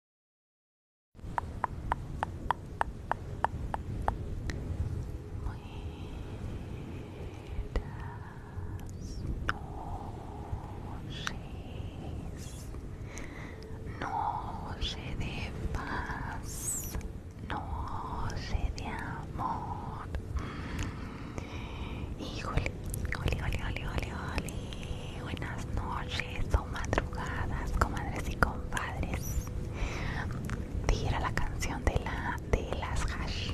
noches, noche de paz, noche de amor. Híjole, híjole, híjole, híjole, híjole buenas noches o madrugadas, comadres y compadres. Dijera la canción de la de las hash.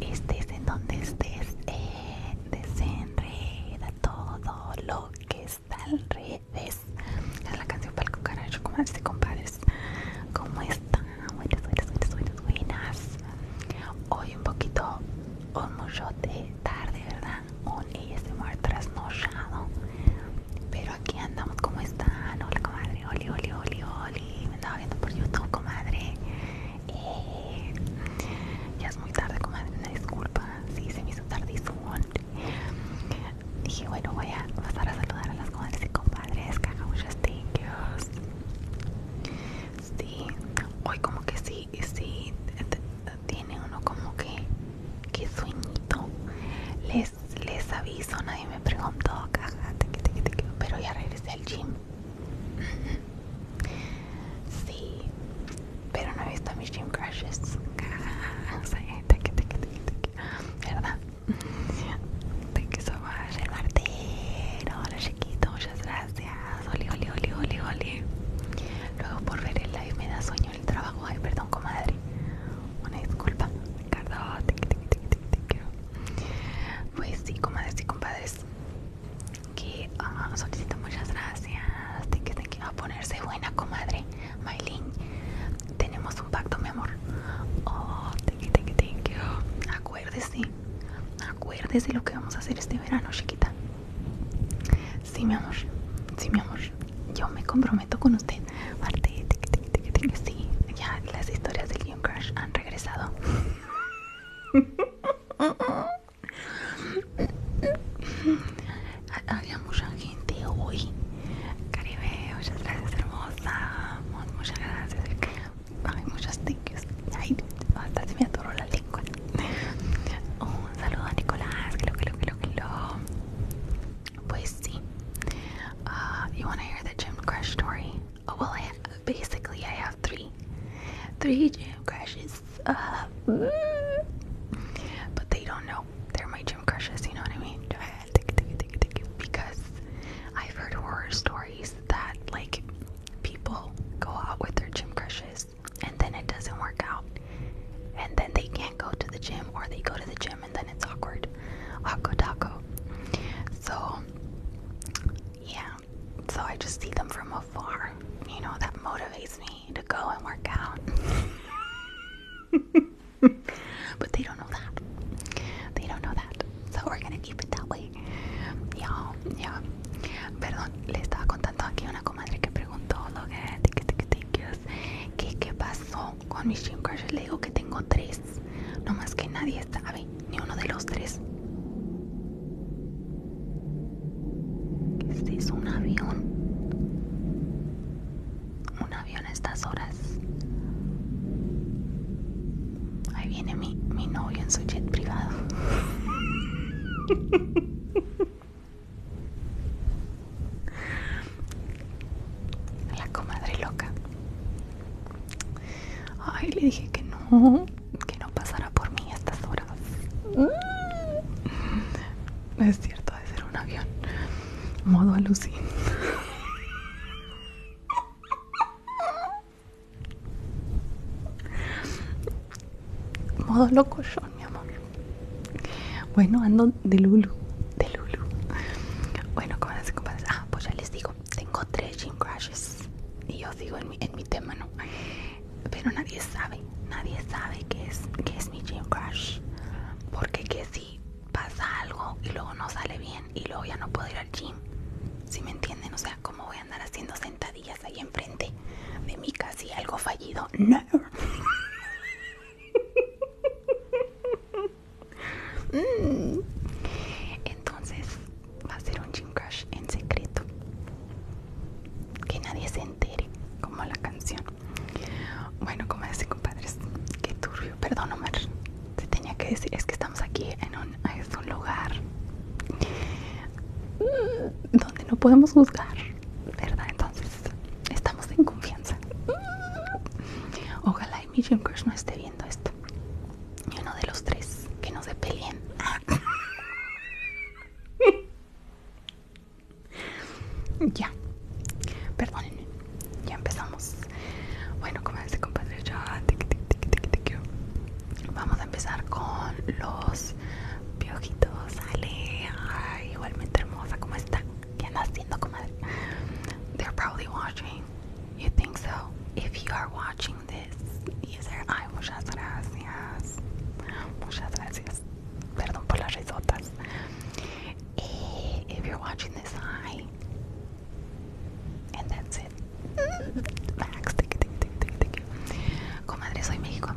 es en donde estés, eh, desenreda todo lo que está al revés. Es la canción para el cucaracho, comadres y compadres. ¿Cómo están? Buenas, buenas, buenas, buenas, buenas. Hoy un poquito, un mucho de tarde, ¿verdad? on ASMR este trasnochado Pero aquí andamos, como están? Hola comadre, oli, oli, oli, oli Me andaba viendo por YouTube, comadre eh, Ya es muy tarde, comadre, una disculpa Sí, se me hizo tardísimo Dije, bueno, voy a pasar a saludar a las comadres y compadres Que hagan muchas Sí, hoy como que sí, sí tiene uno como que, que sueñito. Les, les aviso, nadie me preguntó, pero ya regresé al gym. Sí, pero no he visto a mis gym crushes. Eh, ¿Verdad? te quiero so el martero. Hola chiquito, muchas gracias. Oli, oli, oli, oli, oli. Luego por ver el live me da sueño el trabajo. Ay, perdón, comadre. Una disculpa. Ricardo, Pues sí, comadres y compadres. Que nos ah, solicito muchas gracias. que, a ponerse buena, comadre. Maylin, tenemos un pacto, mi amor. Oh, Acuérdese, acuérdese lo que vamos a hacer este verano, chiquita. Sí, mi amor. Sí, mi amor. Yo me comprometo con usted. Marte, sí. Ya las historias del Game crush han regresado. Había mucha gente hoy. Caribe, muchas gracias, hermosa. Muchas gracias. Hay muchos Ay, hasta se me atoró la lengua. Un saludo a Nicolás. que lo que claro que uh, you want to hear the gym crash story? Oh, well, basically, I have three. Three gym crushes. Uh, but they don't know. They're my gym crushes, you know what I mean? Because I've heard horror stories that, like, people go out with their gym crushes and then it doesn't work out and then they can't go to the gym or they go to the gym and then it's awkward awkward taco so yeah so i just see them from afar you know that motivates me to go and work out but they don't know that they don't know that so we're gonna keep it that way yeah yeah perdón le estaba contando aquí una comadre que preguntó lo que ¿Qué qué pasó con mis Jim Le digo que tengo tres, no más que nadie sabe, ni uno de los tres. este es ¿Un avión? ¿Un avión a estas horas? Ahí viene mi, mi novio en su jet privado. La comadre loca. Ay, le dije que no, que no pasara por mí a estas horas. Mm. es cierto, de ser un avión. Modo alucin. Modo loco yo, mi amor. Bueno, ando de Lulu, de Lulu. Bueno, ¿cómo se compadres? Ah, pues ya les digo, tengo tres gym crashes. Y yo digo en mi, tema, ¿no? Pero nadie sabe, nadie sabe qué es, qué es mi gym crash. Porque que si pasa algo y luego no sale bien y luego ya no puedo ir al gym. Si me entienden, o sea, ¿cómo voy a andar haciendo sentadillas ahí enfrente de mi casi algo fallido? No. Entonces va a ser un gym crush en secreto. Que nadie se entere, como la canción. Bueno, como dice compadres, qué turbio. Perdón, Omar. Te tenía que decir, es que estamos aquí en un, un lugar donde no podemos juzgar, ¿verdad? Entonces, Estamos en confianza. Ojalá y mi no esté viendo esto. Y uno de los tres que no se peleen. ya. Perdónenme. Ya empezamos. Bueno, dice compadre. Vamos a empezar con los piojitos. Ale. igualmente hermosa. ¿Cómo está? ¿Qué anda haciendo, comadre? They're probably watching. You think so? If you are watching this, yes, sir. Ay, gracias. Muchas gracias. Perdón por las risotas. if you're watching this, hi. And that's it. Max, Comadre, soy mexico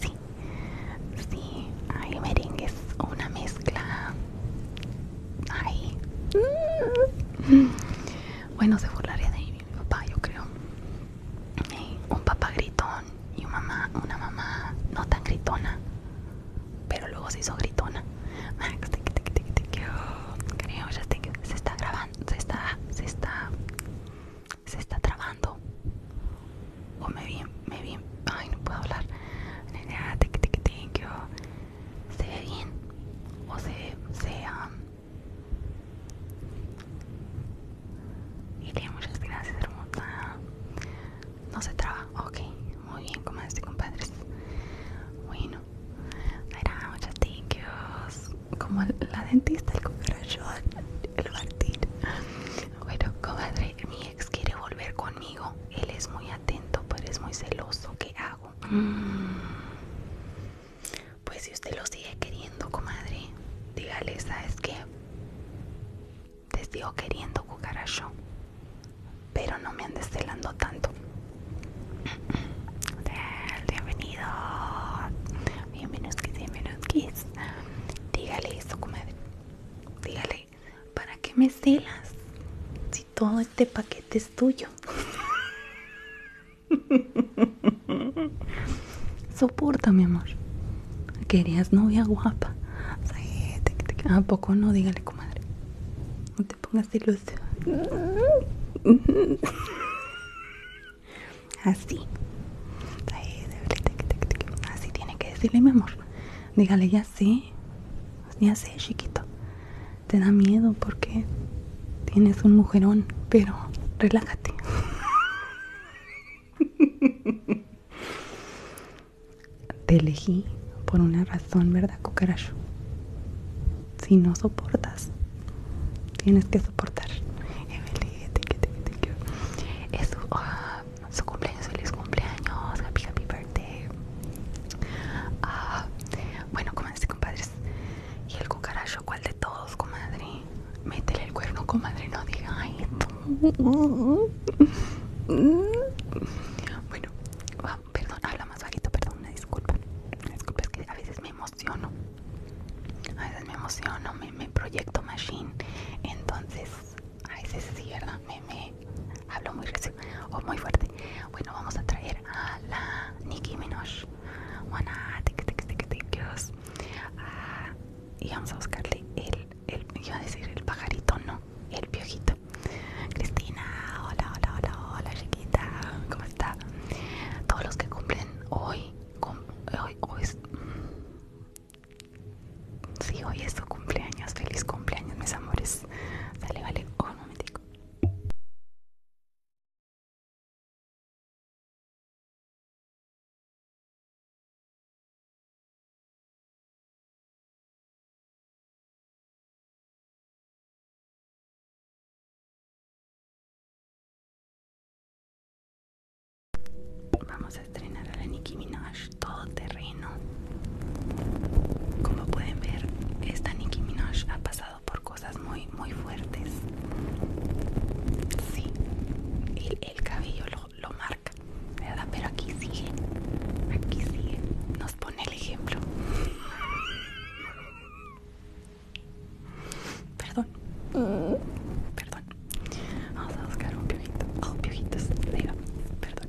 sí. sí, hay merengues una mezcla. ahí mm. bueno, se burlaría de mi papá, yo creo. Eh, un papá gritón y una mamá, una mamá no tan gritona, pero luego se hizo gritona. creo, ya se está grabando, se está, se está, se está trabando. O me me vi, ay no puedo hablar, ah, se ve bien o se, se um... y muchas gracias hermosa, no se traba, ok, muy bien como este compadres, bueno, era ah, muchas gracias, como la dentista, el corazón, el martir bueno compadre mi ex quiere volver conmigo él es muy atento, pero es muy celoso. ¿Qué hago? Mm. Pues si usted lo sigue queriendo, comadre, dígale, ¿sabes qué? Te sigo queriendo, cucaracho. Pero no me andes celando tanto. Bienvenidos. Bienvenidos, bienvenidos. Dígale eso, comadre. Dígale ¿para qué me celas si todo este paquete es tuyo? Soporta, mi amor. Querías novia guapa. ¿A poco no? Dígale, comadre. No te pongas ilusión Así. Así tiene que decirle, mi amor. Dígale ya. Sí, ya sé chiquito. Te da miedo porque tienes un mujerón, pero relájate. Te elegí por una razón, ¿verdad, cucaracho? Si no soportas, tienes que soportar. Emily, te su cumpleaños, feliz cumpleaños, happy, happy birthday. Uh, bueno, comadres compadres. Y el cucaracho, ¿cuál de todos, comadre? Métele el cuerno, comadre, no diga, Bueno, perdón, habla más bajito, perdón, una disculpa. disculpa, es que a veces me emociono. A veces me emociono, me proyecto machine. Entonces, Ay, sí, sí, ¿verdad? Me, hablo muy recio o muy fuerte. Bueno, vamos a traer a la Nicki Minaj. Wanna take, tic tic tic tic Ah, y vamos a buscarle el, el, iba a decir el pajarito, no, el piojito. Cristina, hola, hola, hola, hola, chiquita, ¿cómo está? Todos los que cumplen hoy, hoy, hoy sí, hoy es tu cumpleaños, feliz cumpleaños, mis amores. Dale, vale, no oh, un momentico. Vamos a estrenar a la Nicki Minaj. Todo terreno Como pueden ver, esta Nicki Minaj ha pasado por cosas muy, muy fuertes. Sí, el, cabello lo, lo marca, ¿verdad? Pero aquí sigue, aquí sigue, nos pone el ejemplo. Perdón, perdón. Vamos a buscar un piojito. Oh, piojitos, perdón.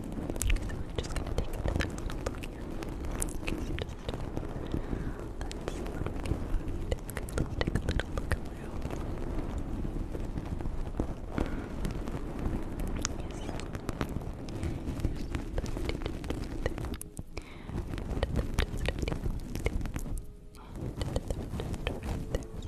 So i just gonna take another look here. Okay, so just, uh, a little bit of Let's take a little look around. Yes. Here's the and the third right there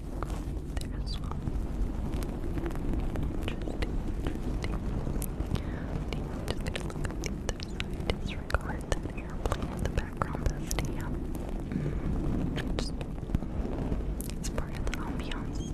interesting one there as well. Interesting, I'm just gonna look at the other side. Disregard that airplane in the background. the yeah. it's part of the ambiance.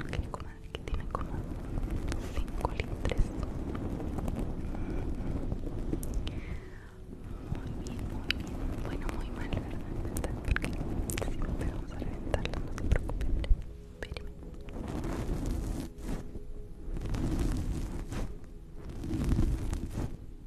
Ok, como que tiene como cinco litros. Muy bien, muy bien. Bueno, muy mal, ¿verdad? Porque siempre vamos a reventarlo, no te preocupes Espérenme.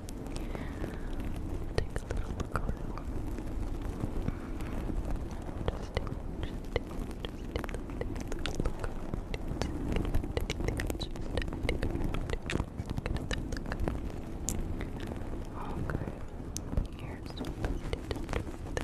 Take a little look around. Just take, just take, just take, take a look around. Just take, just take, just take Okay, here's what I did.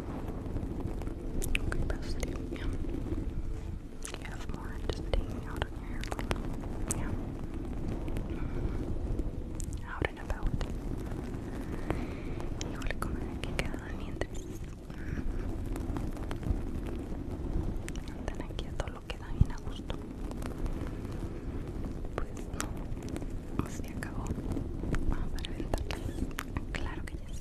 Okay, bestie. Yeah. You have más, just hanging out on your hair. Yeah. Mm-hmm. Out and about. Igual como que quedan mientras. Andan mm-hmm. aquí todo lo que da bien a gusto. Pues no, así acabó. Vamos a reventarles. Claro que ya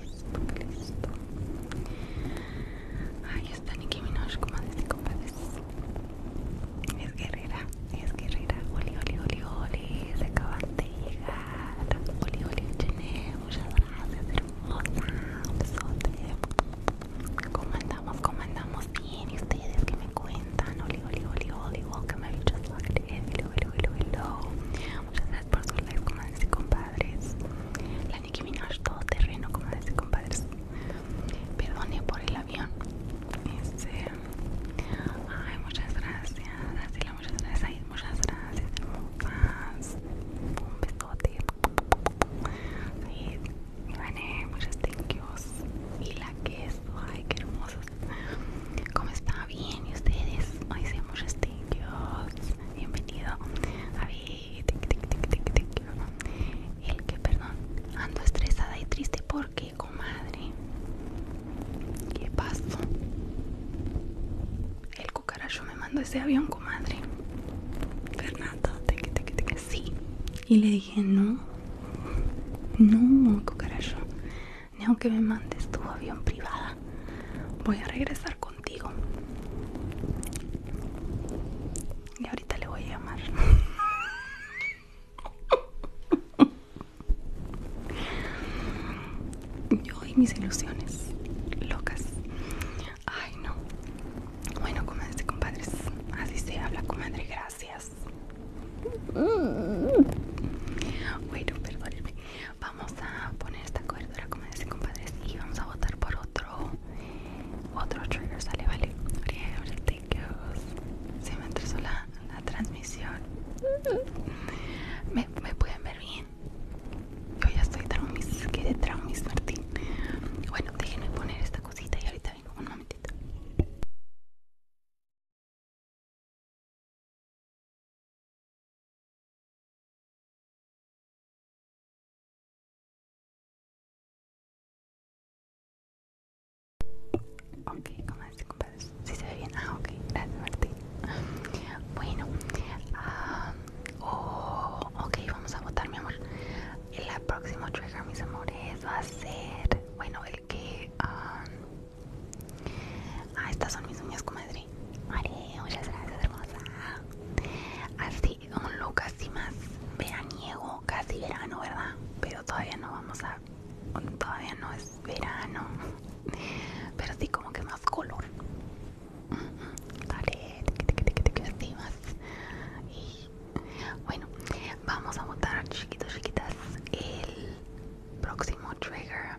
Listo, listo. Ahí está Nicki Minaj como dice compadres. Es guerrera, es guerrera. Oli, oli, oli, oli. Se acaba, de llegar. Oli, oli, Chené. Muchas gracias, hermosa. besote. ¿Cómo andamos? ¿Cómo andamos? Bien, ¿y ustedes que me cuentan? Hola, hola, hola, hola, welcome, I just logged in, hello, hello, hello, hello Muchas gracias por su como comadres compadres La Nicki Minaj todo terreno, como y compadres Perdone por el avión este, Ay, muchas gracias, gracias, muchas gracias, muchas gracias, hermosas Un besote Y bueno, muchas gracias Y la queso, ay, qué hermoso ¿Cómo está? Bien, ¿y ustedes? Hoy se Dios, bienvenido. A ver El que, perdón, ando estresada y triste porque, comadre, ¿qué pasó? El cucaracho me mandó ese avión, comadre. Fernando, sí. Y le dije, no, no, cucaracho ni aunque me mandes tu avión privada. Voy a regresar contigo. Y ahorita le voy a llamar. Yo y mis ilusiones locas. Ay, no. Bueno, comadres compadres, así se habla, comadre. Gracias Mm. Bueno, perdónenme. Vamos a poner esta cobertura como dicen compadres y vamos a votar por otro otro trigger, sale, vale. Se me atrasó la, transmisión. ¿Me, ¿Me pueden ver bien? Yo ya estoy traumis, quedé traumis, Martín. Bueno, déjenme poner esta cosita y ahorita vengo un momentito. Ok, ¿cómo es, compadre? ¿Sí se ve bien? Ah, ok, gracias, Martín. Bueno, um, ok, vamos a votar, mi amor. El próximo trigger, mis amores, va a ser, bueno, el que ah, Ah, estas son mis uñas, comadre. Vale, muchas gracias, hermosa. Así, un look así más veraniego, casi verano, ¿verdad? Pero todavía no vamos a. Todavía no es verano. Pero sí, como que más color. Dale, así más. Y bueno, vamos a botar chiquitos, chiquitas, el próximo trigger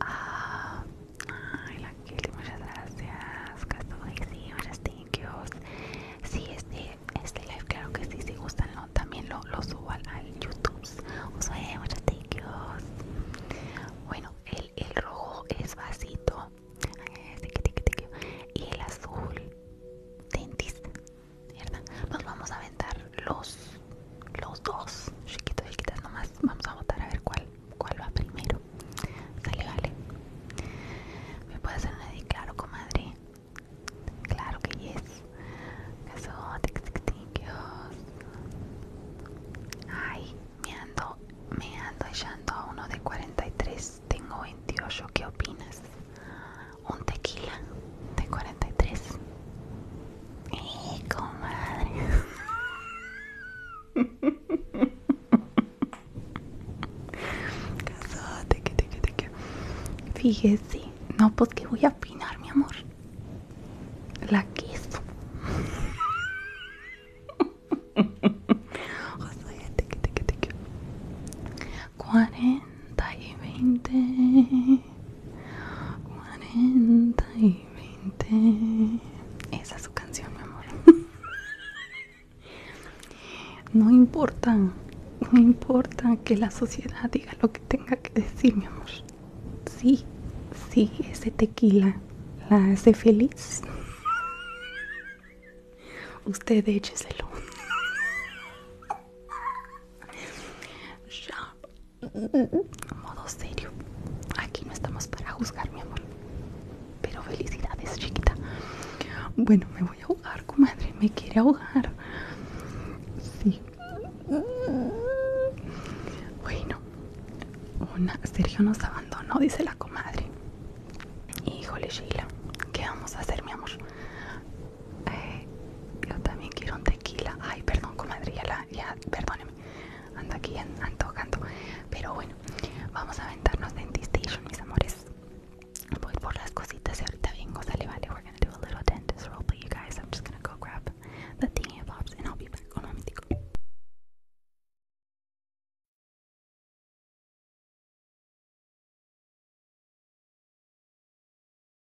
Ah, ay, la Kelly, muchas gracias. Castaway, sí, muchas gracias. Sí, este, este live, claro que sí, si gustan, no, también lo, lo subo al, YouTube. Pues, muchas thank Bueno, el, el rojo es vasito. Y el azul, dentist. Mierda. Nos vamos a vender los los dos, chiquitos, chiquitas nomás. Vamos a votar a ver cuál, cuál va primero. sale, vale. ¿Me puedes hacer una claro, comadre? Claro que yes. tic, Ay, me ando, me ando echando a uno de 43. Tengo 28. ¿Qué opinas? Un tequila de 43 y de madre! te que, te que, te que. Fíjese, No, pues que voy a apinar, mi amor. La quiso ¡Cazó, que, te que, te Cuarenta y veinte. 40 y 20. Esa es su canción, mi amor. No importa, no importa que la sociedad diga lo que tenga que decir, mi amor. Sí, sí, ese tequila la hace feliz. Usted écheselo. Shop modo serio. Aquí no estamos para juzgar, mi amor. Pero felicidades, chiquita. Bueno, me voy a ahogar, comadre. Me quiere ahogar. Sí. Bueno, una Sergio nos abandonó, dice la comadre. Híjole, Sheila, ¿qué vamos a hacer, mi amor? Eh, yo también quiero un tequila. Ay, perdón, comadre, ya perdónenme mírame, ando aquí tocando. Pero bueno, vamos a aventarnos en Dentistation, mis amores. Voy por las cositas y ahorita vengo, le vale. We're gonna do a little dentist roll, but you guys, I'm just gonna go grab the thingy pops and I'll be back. Un momentico.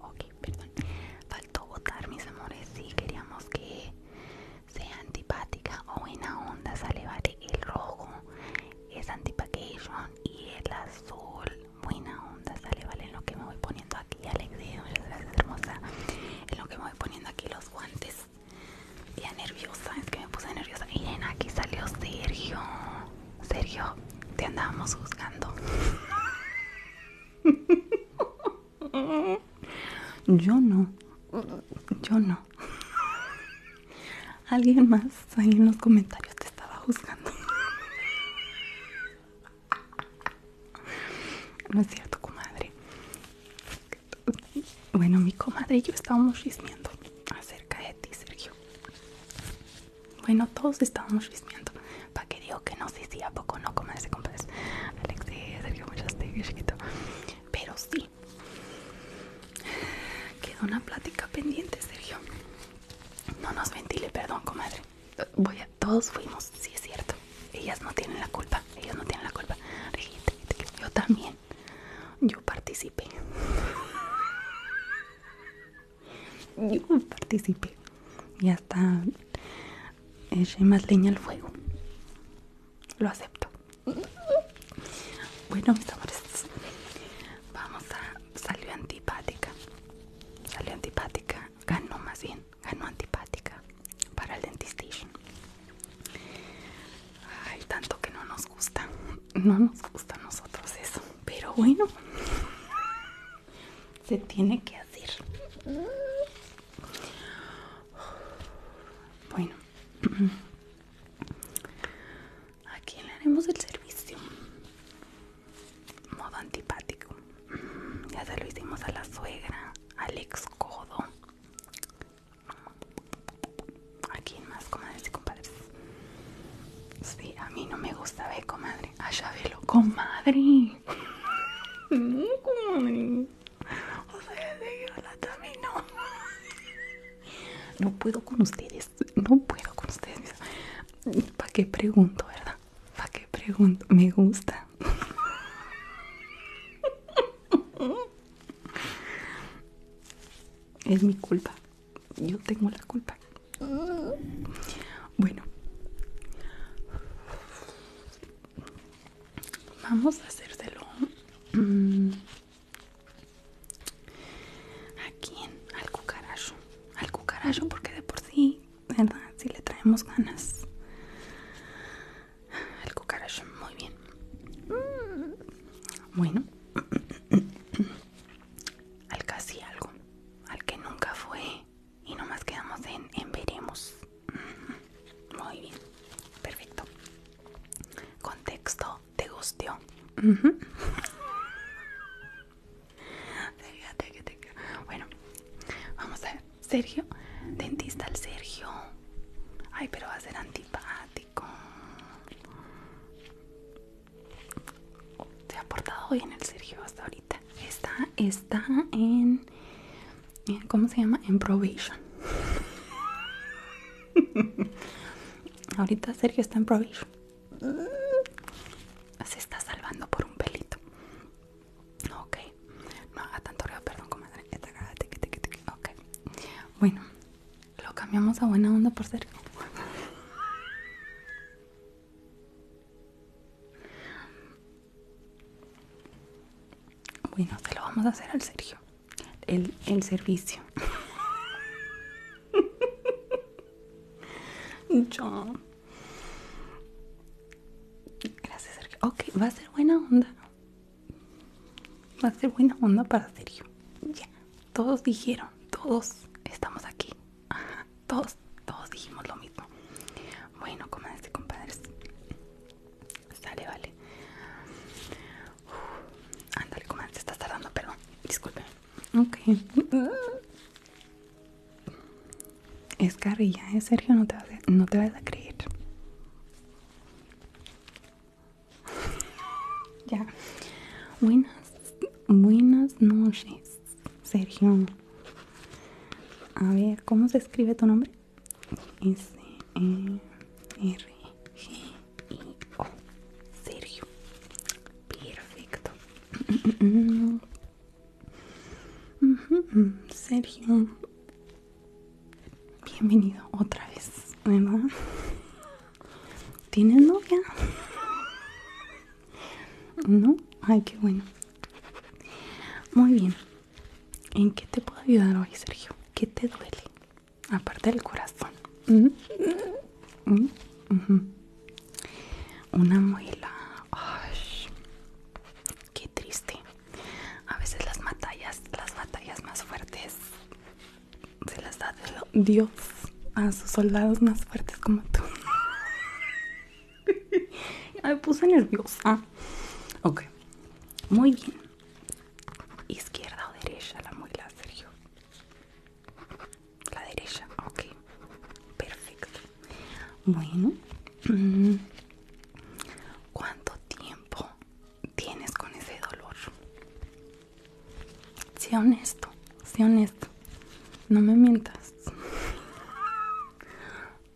Ok, perdón. Faltó votar, mis amores, si queríamos que sea antipática o buena onda. Sale, vale, el rojo es anti y el azul buena onda, sale, vale, en lo que me voy poniendo aquí, Alexia, muchas gracias hermosa, en lo que me voy poniendo aquí los guantes, ya nerviosa, es que me puse nerviosa, en aquí salió Sergio, Sergio, te andábamos buscando. Yo no, yo no. Alguien más ahí en los comentarios te estaba juzgando. No es cierto, comadre. Bueno, mi comadre y yo estábamos chismeando acerca de ti, Sergio. Bueno, todos estábamos chismeando. ¿Para que digo que no? Sí, sí, ¿a poco no, comadre? Compadres. Alex, Sergio, muchas gracias, chiquito. Pero sí. Quedó una plática pendiente, Sergio. No nos ventile, perdón, comadre voy a, todos fuimos, si es cierto. Ellas no tienen la culpa, ellos no tienen la culpa. Yo también, yo participé. Yo participé. Y hasta eché más leña al fuego. Lo acepto. Bueno, mis amores, vamos a. salir antipática. Salió antipática. Ganó más bien ganó antipática para el dentista, hay tanto que no nos gusta, no nos gusta a nosotros eso, pero bueno, se tiene que hacer. Bueno, a aquí le haremos el servicio modo antipático. Ya se lo hicimos a la suegra, al ex codo. ¿A quién más, comadres y compadres? Sí, a mí no me gusta, ver comadre. Allá velo, comadre. No, comadre. O sea, también no. No puedo con ustedes, no puedo con ustedes. ¿Para qué pregunto, verdad? ¿Para qué pregunto? Me gusta. Es mi culpa. Yo tengo la culpa. Bueno. Vamos a hacérselo. Mm, ¿A quién? Al cucaracho. Al cucaracho porque de por sí ¿verdad? Si le traemos ganas. El cucarachón. muy bien. Bueno, al casi algo, al que nunca fue y nomás quedamos en, veremos. Muy bien, perfecto. Contexto, te gustó. Bueno, vamos a ver. Sergio, dentista el Sergio. Ay, pero va a ser antipático. Se ha portado bien el Sergio hasta ahorita. Está, está en, ¿cómo se llama? En Provision. ahorita Sergio está en Provision. Se está salvando por un pelito. Ok, no haga tanto ruido, perdón, como comadre. Ok, bueno, lo cambiamos a buena onda por Sergio Bueno, se lo vamos a hacer al Sergio. El, el servicio. Chao Gracias, Sergio. Ok, va a ser buena onda. Va a ser buena onda para Sergio. Ya, todos dijeron, todos estamos aquí. todos, todos dijimos lo mismo. Bueno, comadres y compadres. Sale, vale. ándale, comadre, se está tardando, perdón. Disculpen. Ok. Es carrilla, ¿eh? Sergio, no te vas a, creer. ya. Buenas, buenas noches, Sergio. A ver, ¿cómo se escribe tu nombre? S -E R G I O Sergio. Perfecto. Sergio, bienvenido otra vez, ¿verdad? ¿Tienes novia? ¿No? Ay, qué bueno. Muy bien. ¿En qué te puedo ayudar hoy, Sergio? ¿Qué te duele? Aparte del corazón. Una muela qué triste. A veces las batallas, las batallas más fuertes se las da Dios a sus soldados más fuertes como tú. me puse nerviosa. Ok, muy bien. Izquierda o derecha, la muela, Sergio. La derecha, ok. Perfecto. Bueno, mm, ¿cuánto tiempo tienes con ese dolor? Sea honesto, sea honesto. No me mientas.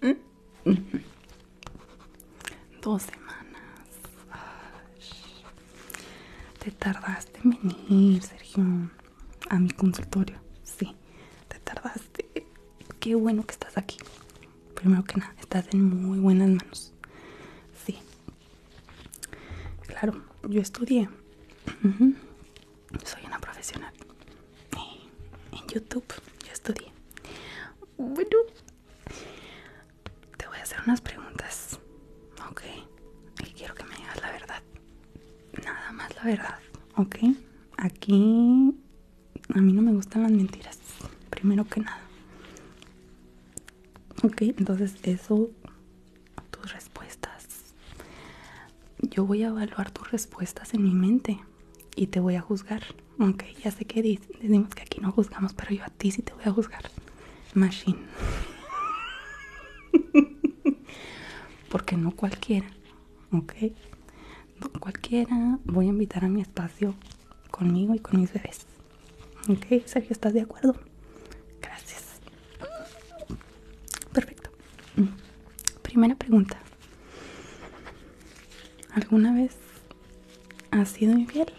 Dos semanas. Te tardaste en venir, Sergio, a mi consultorio. Sí, te tardaste. Qué bueno que estás aquí primero que nada, estás en muy buenas manos. Sí. Claro, yo estudié. Soy una profesional. Eh, en YouTube yo estudié. Bueno, te voy a hacer unas preguntas. Ok. Y quiero que me digas la verdad. Nada más la verdad. Ok. Aquí a mí no me gustan las mentiras, primero que nada. Ok, entonces eso, tus respuestas. Yo voy a evaluar tus respuestas en mi mente y te voy a juzgar. Ok, ya sé que decimos que aquí no juzgamos, pero yo a ti sí te voy a juzgar. Machine. Porque no cualquiera. Ok cualquiera voy a invitar a mi espacio conmigo y con mis bebés ok Sergio estás de acuerdo gracias perfecto primera pregunta alguna vez has sido infiel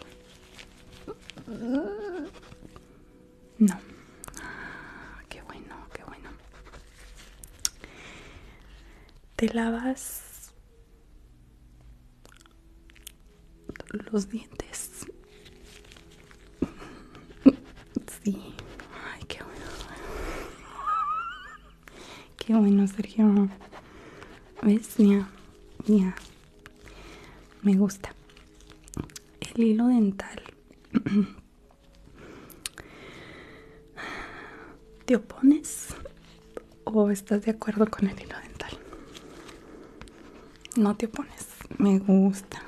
no ah, qué bueno qué bueno te lavas los dientes sí ay qué bueno qué bueno Sergio ves mía, me gusta el hilo dental te opones o estás de acuerdo con el hilo dental? No te opones. Me gusta.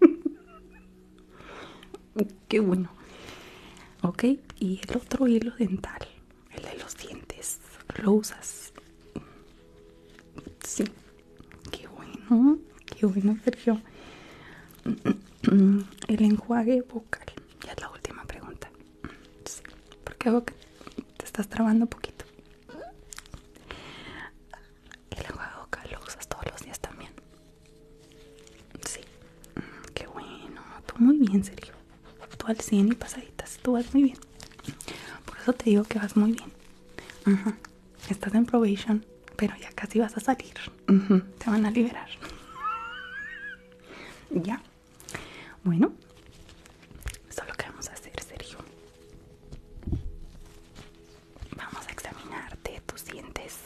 Qué bueno. Ok, y el otro hilo dental, el de los dientes, ¿lo usas? Sí. Qué bueno. Qué bueno, Sergio. El enjuague vocal Ya es la última pregunta. Sí, porque te estás trabando un poquito. Y la agua de boca lo usas todos los días también. Sí, mm, qué bueno. Tú muy bien, Sergio. Tú al 100 y pasaditas. Tú vas muy bien. Por eso te digo que vas muy bien. Estás en probation, pero ya casi vas a salir. Te van a liberar. ya. Bueno, eso es lo que vamos a hacer, Sergio. Vamos a examinarte tus dientes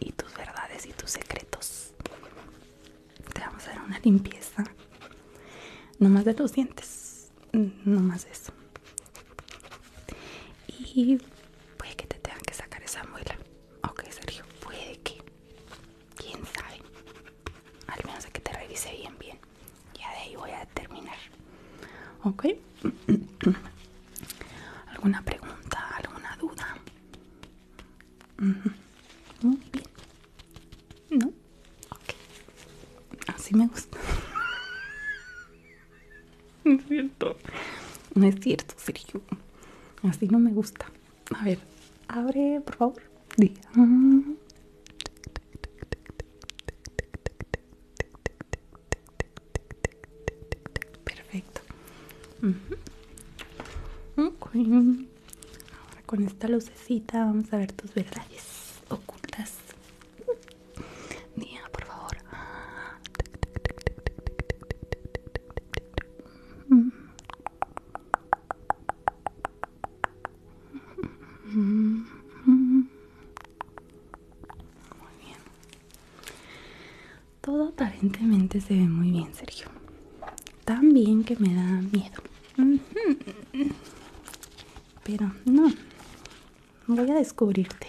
y tus verdades y tus secretos. Te vamos a dar una limpieza. No más de los dientes. No más de eso. Y puede que te tengan que sacar esa muela. Ok, Sergio, puede que. Quién sabe. Al menos es que te revise bien, bien. Ya de ahí voy a terminar. Ok. ¿Alguna pregunta? ¿Alguna duda? Muy bien. ¿No? Ok. Así me gusta. No es cierto. No es cierto, Sergio. Así no me gusta. A ver, abre, por favor. Di. Perfecto. Ahora con esta lucecita vamos a ver tus verdades ocultas. Día, por favor. Muy bien. Todo aparentemente se ve muy bien, Sergio. Tan bien que me da miedo. Pero no. Voy a descubrirte.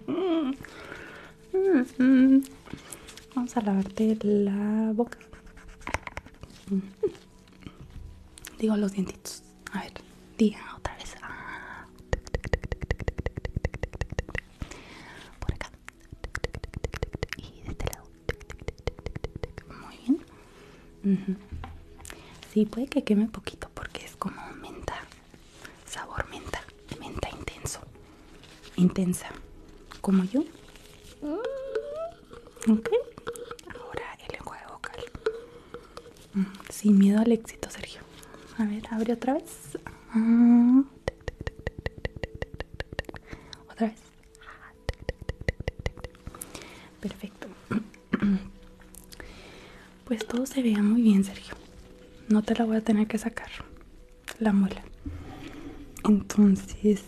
Mm-hmm. Vamos a lavarte la boca. Digo los dientitos. A ver, diga otra vez. Ah. Por acá. Y de este lado. Muy bien. Mm-hmm. Sí, puede que queme poquito porque es como menta. Sabor menta. Menta intenso intensa, como yo. Mm. Ok, ahora el lenguaje vocal. Mm, sin miedo al éxito, Sergio. A ver, abre otra vez. Ah. Otra vez. Perfecto. Pues todo se vea muy bien, Sergio. No te la voy a tener que sacar la muela. Entonces,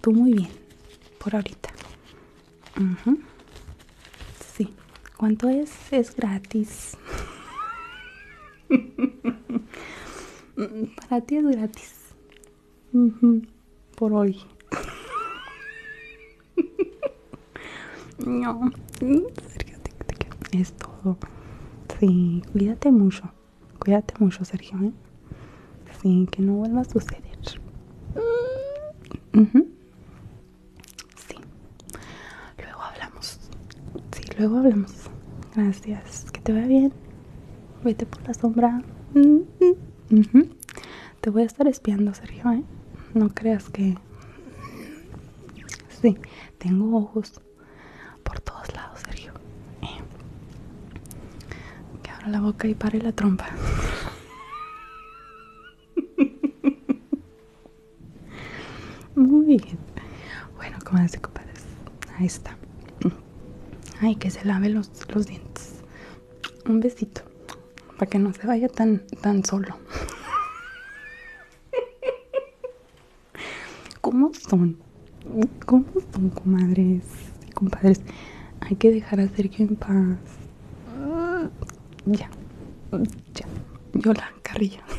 tú muy bien, por ahorita. Sí, ¿cuánto es? Es gratis. Para ti es gratis. Por hoy. no, es todo. Sí, cuídate mucho. Cuídate mucho, Sergio. ¿eh? Sí, que no vuelva a suceder. Sí. Luego hablamos. Sí, luego hablamos. Gracias. Que te vaya bien. Vete por la sombra. Te voy a estar espiando, Sergio, ¿eh? No creas que... Sí, tengo ojos por todos lados, Sergio. Eh, que abra la boca y pare la trompa. Muy bien. Bueno, como decís compadres. Ahí está. Ay, que se lave los, dientes. Un besito. Para que no se vaya tan, tan solo. ¿Cómo son? ¿Cómo son, comadres y compadres? Hay que dejar a Sergio en paz. Mm, ya, ya. Yo la carrilla.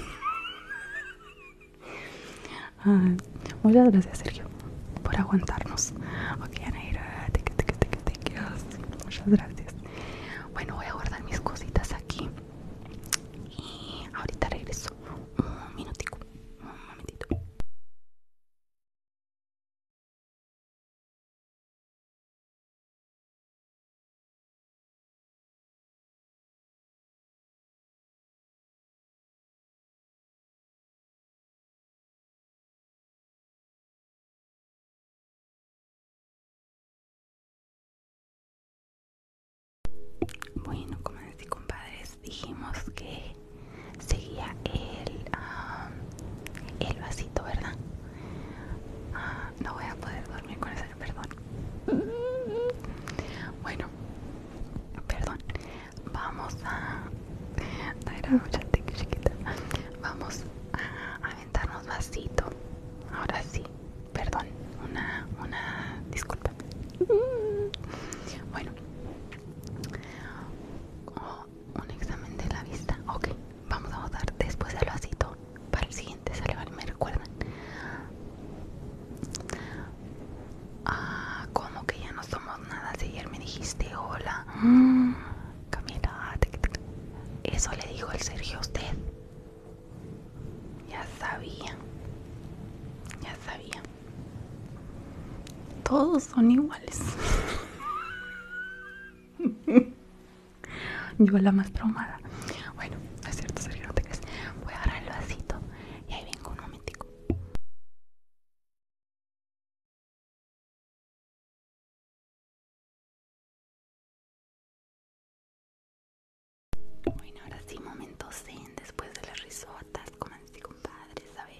Ah, muchas gracias, Sergio, por aguantarnos. Ok, Anaíra, te Muchas gracias. Bueno, voy a guardar mis cositas aquí. Y ahorita regreso. Un minutico, un momentito. Bueno, como dije compadres, dijimos que seguía el, el vasito, ¿verdad? Ah, no voy a poder dormir con eso, perdón. Bueno, perdón. Vamos a... Vamos a aventarnos vasito. Ahora sí, perdón, una, una disculpa. Bueno, oh, un examen de la vista. Ok, vamos a votar después del vasito para el siguiente salvar. Me recuerdan. Ah, como que ya no somos nada. ayer me dijiste hola, Camila. Ah, eso le dijo el Sergio a usted. Ya sabía. Ya sabía. Todos son iguales. Yo la más traumada. Bueno, no es cierto, Sergio, no te Voy a agarrar el vasito y ahí vengo un momentico. Bueno, ahora sí, momentos en después de las risotas, comanse compadres, a ver.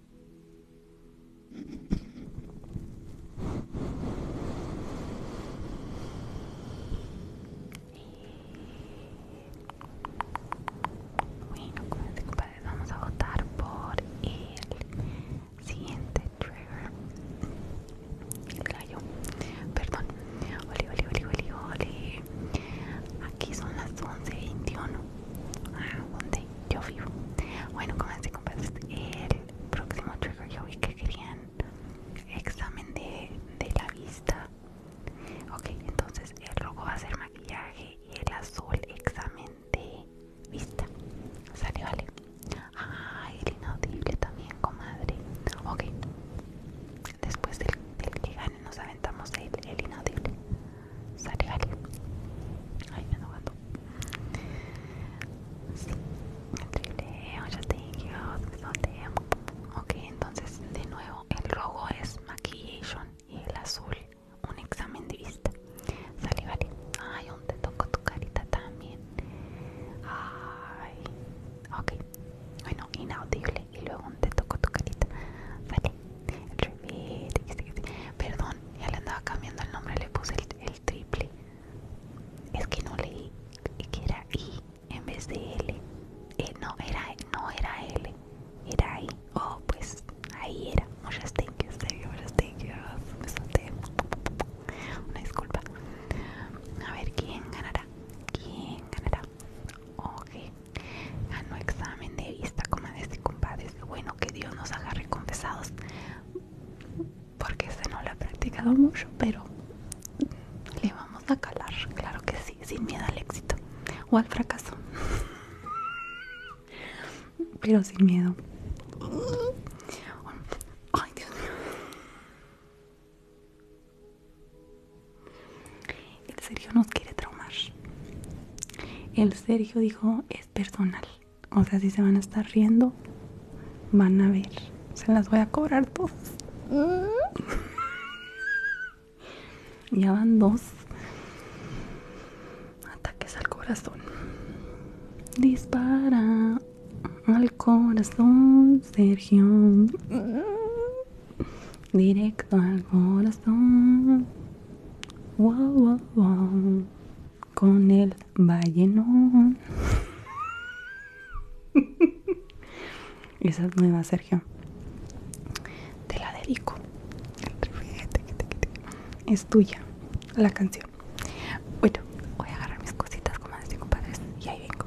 Bueno, acuérdense compadres, vamos a votar por el siguiente trigger. El gallo. Perdón. Oli, oli, oli, oli, oli. Aquí son las 11.21. Ah, yo vivo. Bueno, con pues, el próximo trigger yo vi que querían examen de, la vista. Ok, entonces el rojo va a ser maquillaje y el azul examen de vista. Sale, vale. Ah, el inaudible también, comadre. Ok, después del, del que gane nos aventamos el inaudible vale Ay, me enojando gato. ya Ok, entonces de nuevo, el rojo es maquillaje y el azul, un examen de vista. Sale, vale. Ay, te toco tu carita también. Ay, ok. Bueno, inaudible y luego te toco tu carita. Perdón, ya le andaba cambiando el nombre, le puse el, triple. Es que no leí que era I en vez de L. Eh, no, era, no era L, era I. Oh, pues ahí era. Muchas gracias, muchas gracias. Una disculpa. A ver, ¿quién ganará? ¿Quién ganará? Ok, ganó examen de vista, comadres este y compadres bueno que Dios nos haga recompensados porque este no lo ha practicado mucho pero le vamos a calar claro que sí sin miedo al éxito o al fracaso pero sin miedo ay Dios mío el Sergio nos quiere traumar el Sergio dijo personal. O sea, si se van a estar riendo, van a ver. Se las voy a cobrar dos mm. ya van dos ataques al corazón. Dispara al corazón, Sergio. Mm. Directo al corazón. Con el vallenón. Esa es nueva, Sergio. Te la dedico. Es tuya la canción. Bueno, voy a agarrar mis cositas, Como antes y padres Y ahí vengo.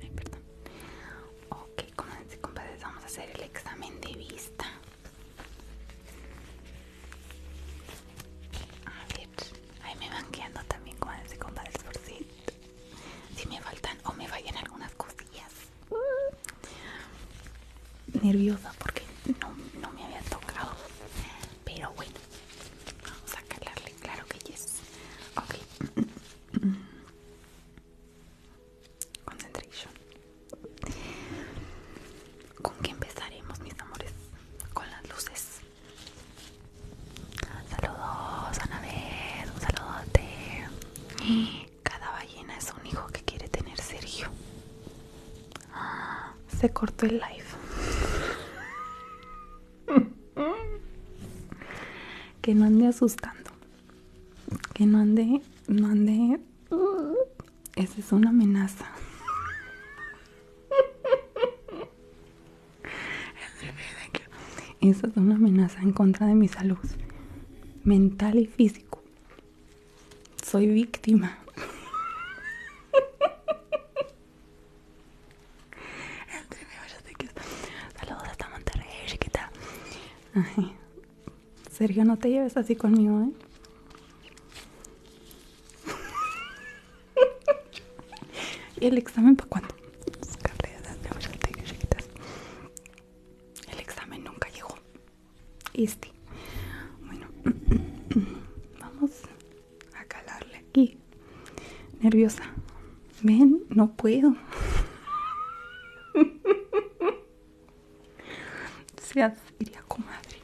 Ay, perdón. Ok, compadres, vamos a hacer el examen de vista. A ver, ahí me van quedando también, con compadres, por si, si me faltan o me fallan algunas cosillas. Nerviosa porque no, no me había tocado, pero bueno, Vamos a calarle, claro que yes. Ok. Concentration. ¿Con qué empezaremos, mis amores? Con las luces. Saludos, Anabel. Un saludote. Cada ballena es un hijo que quiere tener Sergio. Se cortó el live. que no ande asustando. Que no ande, no ande. Esa es una amenaza. Esa es una amenaza en contra de mi salud mental y físico. Soy víctima. Saludos hasta Monterrey, chiquita. Ay, Sergio, no te lleves así conmigo, ¿eh? ¿Y el examen para cuándo? El examen nunca llegó. Este. Bueno, vamos a calarle aquí. Nerviosa. Ven, no puedo. se seria, comadre.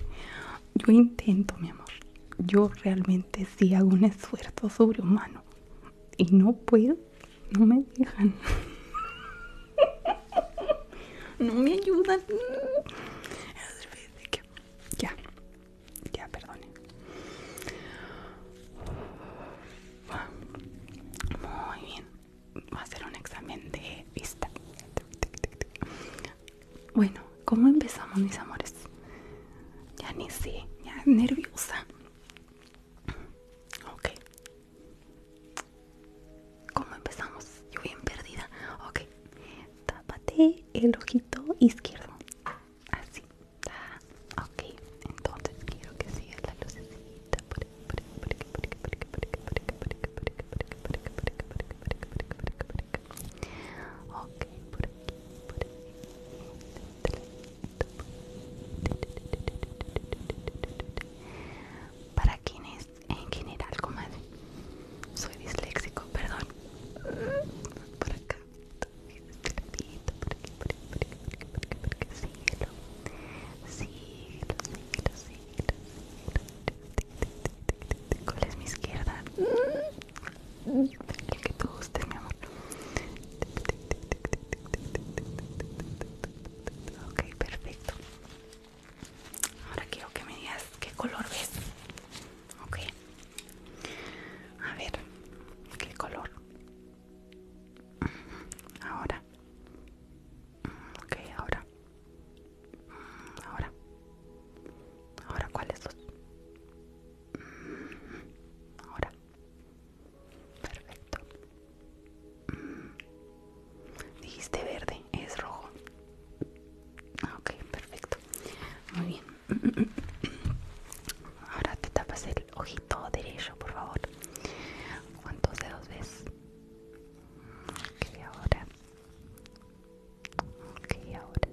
Yo intento, mi amor. Yo realmente si hago un esfuerzo sobrehumano. Y no puedo. No me dejan. no me ayudan. Ya. Ya, perdone. Muy bien. Va a hacer un examen de vista. Bueno, ¿cómo empezamos, mis amores? Ya ni sé, ya nerviosa. Ok. ¿Cómo empezamos? Yo bien perdida. Ok tápate el ojito izquierdo. Así. ok, entonces quiero que siga la lucecita. Por por aquí, por Para quienes en general, comadre, soy disléxico, perdón. Por acá. Este por aquí, por aquí, por aquí, por aquí, por aquí, por aquí. Síguelo. Síguelo, síguelo, síguelo, ¿Cuál es mi izquierda? El que te guste mi amor. Ok, perfecto. Ahora quiero que me digas qué color ves ok a ver qué color ahora ok ahora ahora ahora cuáles dos ahora perfecto dijiste verde es rojo ok perfecto muy bien Ahora te tapas el ojito derecho, por favor. ¿Cuántos dedos ves? Ok, ahora. Ok, ahora.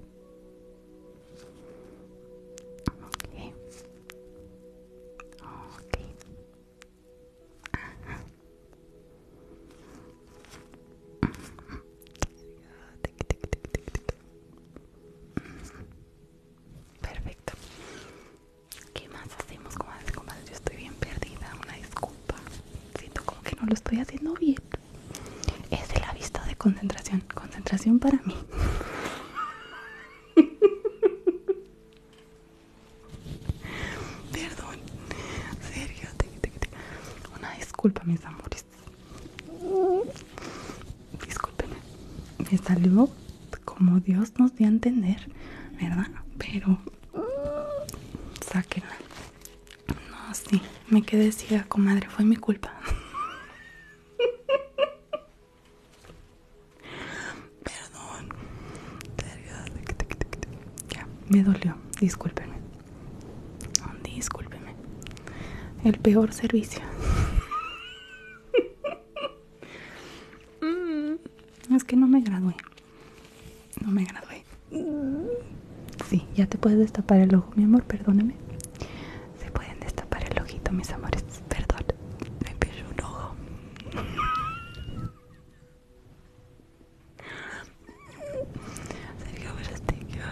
Perfecto. ¿Qué más hacemos, yo estoy bien perdida. Una disculpa. Siento como que no lo estoy haciendo bien. Es de la vista de concentración. Concentración para mí. Perdón. Serio. Una disculpa, mis amores. Disculpen, Me salió como Dios nos dio a entender, ¿verdad? Pero sáquenla. No, sí, me quedé ciega, comadre, fue mi culpa. Perdón. Ya, me dolió, discúlpenme. Discúlpeme. El peor servicio. Mm, es que no me gradué. No me gradué. Sí, ya te puedes destapar el ojo, mi amor, Perdóneme. Se pueden destapar el ojito, mis amores. Perdón, me pillo un ojo. Sergio,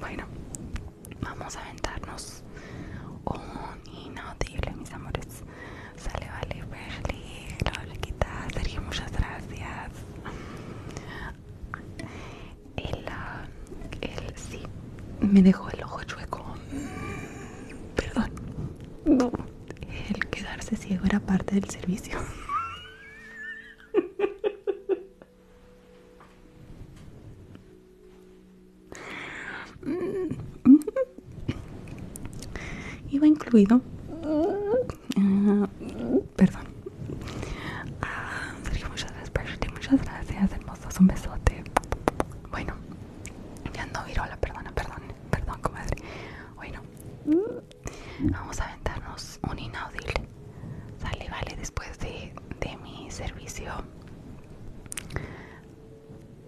Bueno, Vamos a aventarnos un inaudible, mis amores. Sale, vale, Berly, quita, Sergio, muchas gracias. El, ah, el, sí, me dejó el ojo chueco. Perdón. No, el quedarse ciego era parte del servicio. Mm. Iba incluido. Ah, perdón. Ah, muchas gracias, Muchas gracias, hermosos. Un besote. Bueno, ya no virola, perdona, perdón, perdón, comadre. Bueno, vamos a aventarnos un inaudible. Sale, vale, después de, mi servicio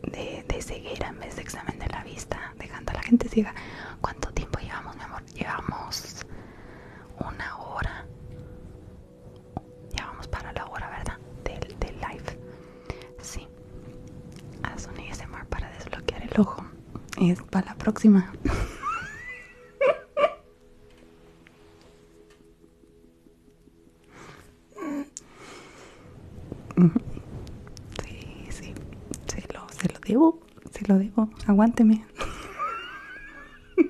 de, de ceguera en vez de examen de la vista, dejando a la gente siga ¿Cuánto tiempo llevamos, mi amor? Llevamos una hora. Ya vamos para la hora, ¿verdad? Del, del live. Sí. Haz un mar para desbloquear el ojo. Es para la próxima. Sí, sí, se lo, se lo debo, se lo debo, aguánteme.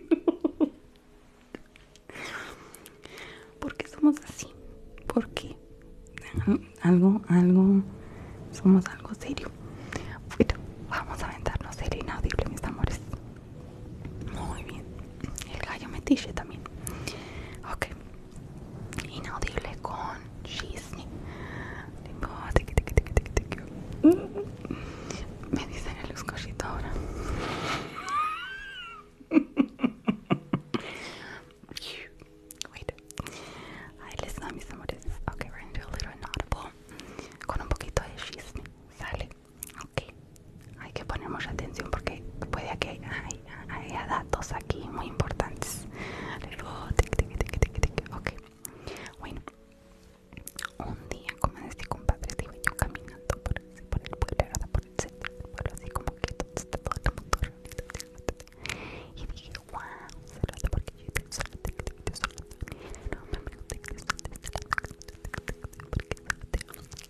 ¿Por qué somos así? ¿Por qué? Algo, algo, somos algo serio. Bueno, vamos a aventarnos el inaudible, mis amores. Muy bien. El gallo metiche también. Ok. Inaudible con chisme. Mm. Me dicen el escochito ahora. Wait. Ahí les da mis amores. Ok, we're gonna do a little inaudible. Con un poquito de chisme. Sale. Ok, hay que poner mucha atención porque puede que hay, haya datos aquí muy importantes. Okay, bueno, un día como este compadre, digo yo caminando por, por el pueblo, por el centro del así como que todo el mundo reunido. Y dije, wow, porque yo estoy solo, no me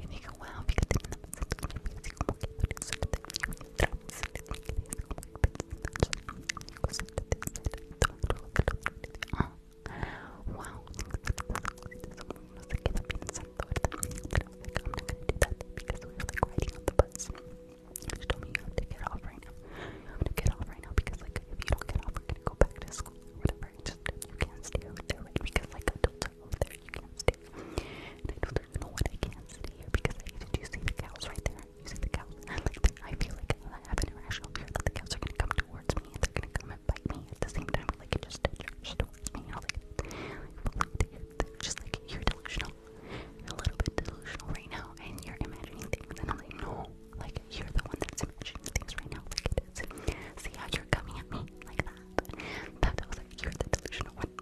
and you go wow because wow I'm not gonna do that because we were like riding on the bus. She told me you have to get off right now. You have to get off right now because like if you don't get off we're gonna go back to school or whatever. Just you can't stay over there right because like adults so there you can stay. I don't even know what I can not stay here because I did you see the cows right there? You see the cows? I like I feel like I have an irrational fear that the cows are gonna come towards me and they're gonna come and bite me at the same time. Like it just just towards me. I was like, just like you're delusional. a little bit delusional right now, and you're imagining things. And I'm like, no, like you're the one that's imagining things right now. Like it is. See how you're coming at me like that? That I was like, you're the delusional one.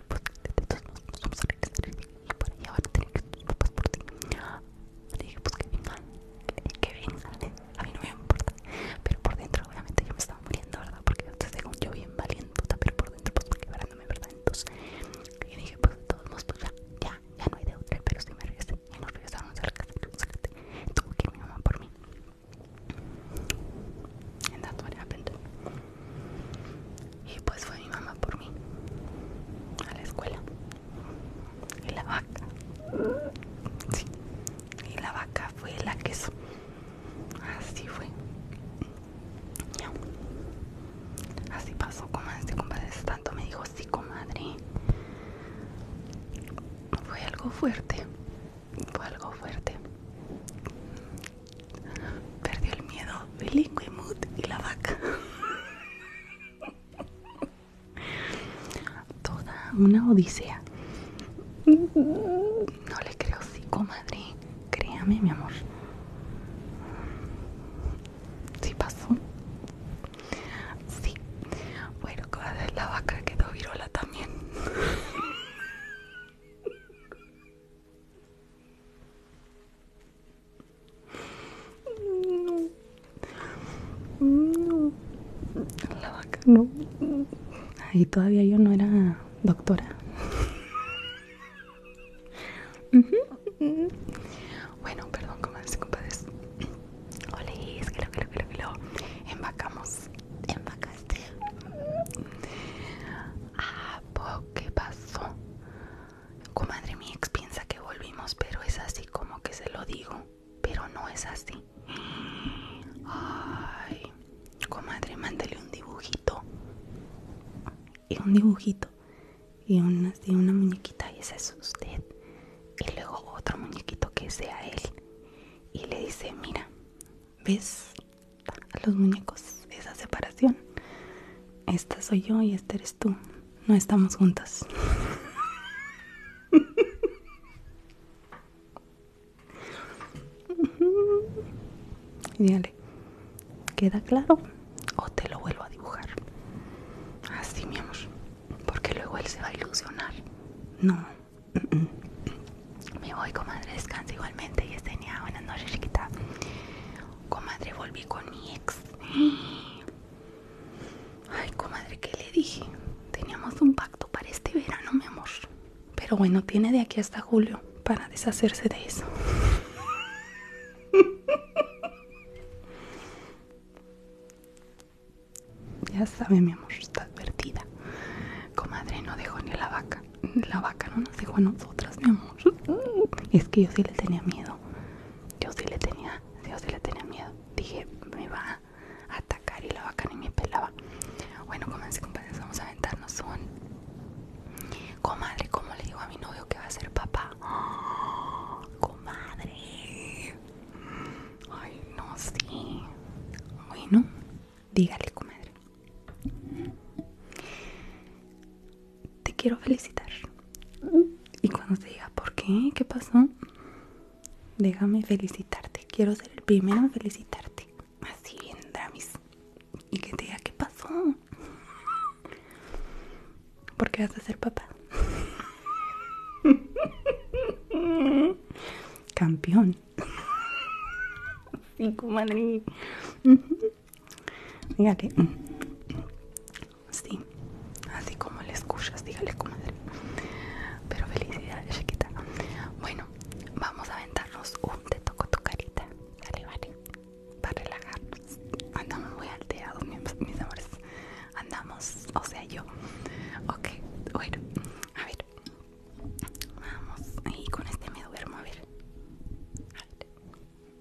de vamos a regresar y para allá van a tener que ir tus papás por ti. Le ah, dije, pues que vengan, que vengan, a mí no me importa. Pero por dentro, obviamente, yo me estaba muriendo, ¿verdad? Porque entonces, según yo, bien valiente, pero por dentro, pues, quebrándome, ¿verdad? Entonces, yo dije, pues, de todos modos, pues ya, ya, ya no hay de otra, pero si me regresé. Y nos regresaron cerca, cerca. Tuvo que ir mi mamá por mí. En tanto what happened y pues fue mi mamá por mí a la escuela y la vaca y la vaca fue la queso así fue así pasó comadre este compadre tanto me dijo sí comadre fue algo fuerte fue algo fuerte Perdió el miedo, mood y la vaca. Toda una odisea. No le creo, sí, comadre. Créame, mi amor. Sí pasó. Sí. Bueno, la vaca quedó virola también. No. La vaca no. Ahí todavía yo no era doctora. Bueno, perdón, comadres y compadres. o que lo, que lo, que lo, que lo. Embacamos. Embacaste. Ah, qué pasó? Comadre, mi ex piensa que volvimos, pero es así como que se lo digo, pero no es así. Ay, comadre, mándale un dibujito. Y un dibujito. Y una, y una muñequita, y ese es usted. Y luego otro muñequito que sea él. Y le dice, mira, ¿ves a los muñecos esa separación? Esta soy yo y este eres tú no estamos juntas. Dale. ¿queda claro? O te lo vuelvo a dibujar. Así, mi amor. Porque luego él se va a ilusionar. No. Me voy, comadre. Descansa igualmente. Y es niña, Buenas noches, chiquita. Comadre, volví con mi ex. Ay, comadre, ¿qué le dije? Teníamos un pacto para este verano, mi amor. Pero bueno, tiene de aquí hasta julio para deshacerse de eso. Ya sabe, mi amor, está advertida. Comadre, no dejó ni a la vaca. La vaca no nos dejó a nosotras, mi amor. Es que yo sí le tenía miedo. Yo sí le tenía, miedo. Dije, me va a atacar y la vaca ni me pelaba. Bueno, comencé, compañeros, vamos a aventarnos un... Comadre, ¿cómo le digo a mi novio que va a ser papá? comadre. Ay, no, sé. Bueno, dígale, comadre te quiero felicitar. Mm. Y cuando se diga, ¿por qué? ¿Qué pasó? Déjame felicitarte. Quiero ser el primero en felicitarte. Así bien, Dramis. Y que te diga, ¿qué pasó? Porque vas a ser papá. Campeón. Dígale. Mm, mm, sí. Así como le escuchas, dígale, como, Pero felicidades, chiquita. Bueno, vamos a aventarnos un te toco tu carita. Dale, vale. Para relajarnos. Andamos muy alteados mis, mis amores. Andamos, o sea, yo. Ok, bueno, a ver. Vamos. Y con este me duermo, a ver. A ver.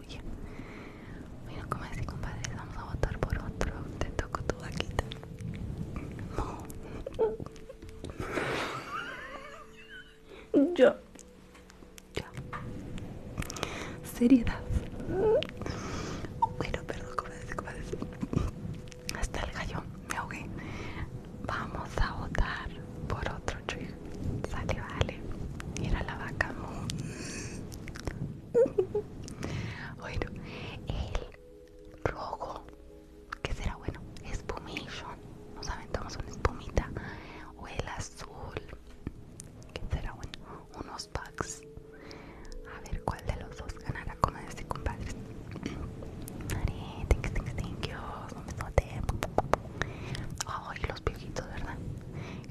Bueno, como así, compadre, vamos a votar por otro. Te toco tu vaquita. No. Yo. Ya. Seriedad. Bueno, perdón, compadre, compadres Hasta el gallo. Me ahogué. Vamos a votar por otro trigger. Sale, vale. Mira la vaca. bueno, el rojo, que será bueno, no saben, aventamos una espumita, o el azul, que será bueno, unos bugs a ver cuál de los dos ganará con este compadre thank you, Ay, los viejitos, ¿verdad?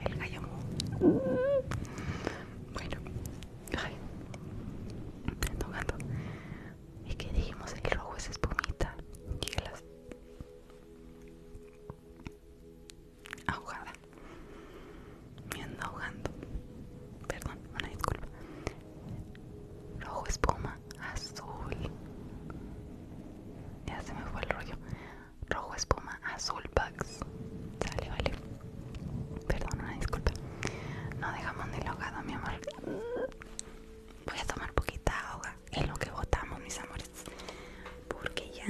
El gallo. Bueno, ay, ando ahogando, Y que dijimos el rojo es espumita y ahogada. Me ando ahogando. Perdón, una disculpa. Rojo espuma, azul. Ya se me fue el rollo rojo espuma, azul bugs. Sale, vale. Perdón, una disculpa. No dejamos ni ahogado, mi amor. Voy a tomar poquita agua en lo que botamos, mis amores. Porque ya.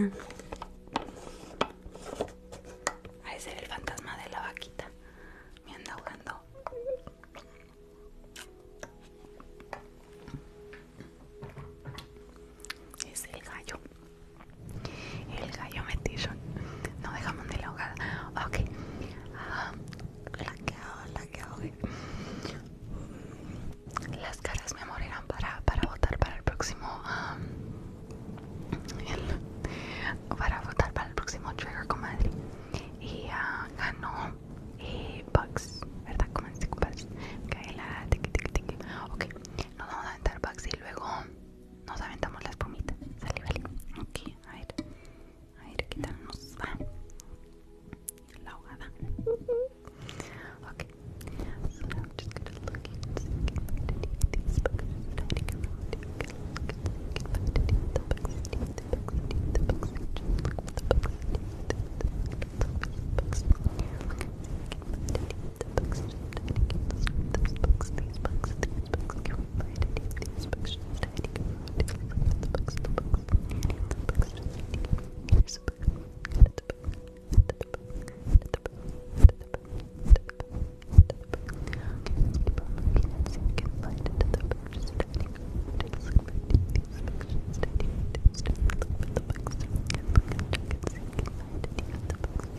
se ve el fantasma de la vaquita. Me anda ahogando. Es el gallo. El gallo metillo. No dejamos ni la hogada. Ok. la que la que hago Las caras, me morirán para, para votar para el próximo. Um, para votar para el próximo trigger, comadre. Y ah, ganó y eh, Bugs, ¿verdad? Como en Bugs. Ok, la tiki tiki tiki. Ok, nos vamos a aventar Bugs y luego nos aventamos la espumita. Sale, vale. Ok, a ver. A ver va. La ahogada. the books, those books, these books, these books, can we find any of these books just hiding around? The books, the books, the books just hiding around. Here's a book, and it's a book, and it's a book, and it's a book, and it's a book, and it's a book, and it's a book. Okay, keep on looking and see if you can find it. The book just hiding around. Take a look at these books just hiding around. Just look at the books, and look and check and see if you can find any of the books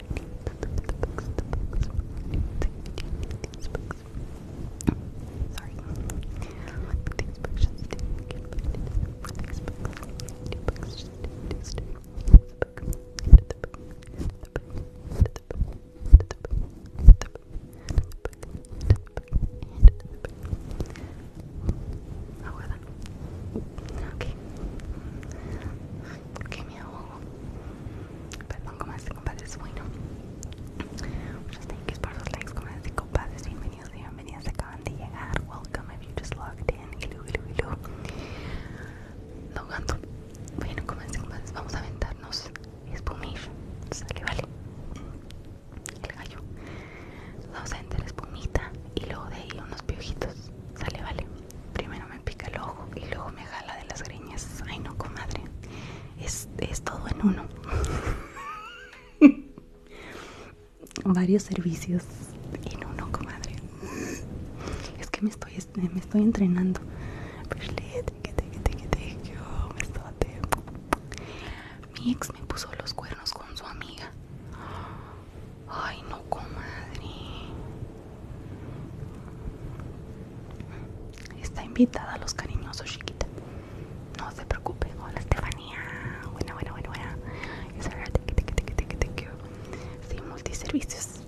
Sorry. These books just didn't get These books just didn't the book, the book, the book, the book, the book, Oh, well Okay. que me ahogo. Perdón, comencé y compadres, bueno. Muchas pues gracias por los likes, comencé y compadres. Bienvenidos y se acaban de llegar. Welcome if you just logged in. Hello, luego, hello. Logando. Bueno, comadres compadres, vamos a aventarnos espumir. Sale, vale. El gallo. Vamos a aventar espumita y luego de ahí unos piojitos. Sale, vale. Primero pica el ojo y luego me jala de las greñas. Ay, no, comadre. Es, es todo en uno. Varios servicios en uno, comadre. Es que me estoy, me estoy entrenando. Mi ex me puso los cuernos con su amiga. Ay, no, comadre. Está invitada a los cariñosos, chiquita. No se preocupe. Hola, Estefanía. Buena, buena, buena, buena. Es verdad, Sí, multiservicios.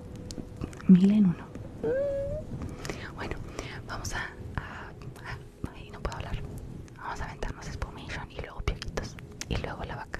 Mil en uno. Bueno, vamos a... a, no puedo hablar. Vamos a aventarnos Spumation y luego piojitos. Y luego la vaca.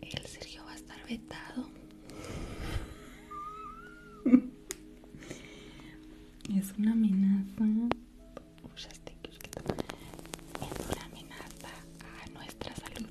El Sergio va a estar vetado. es una amenaza. Es una amenaza a nuestra salud.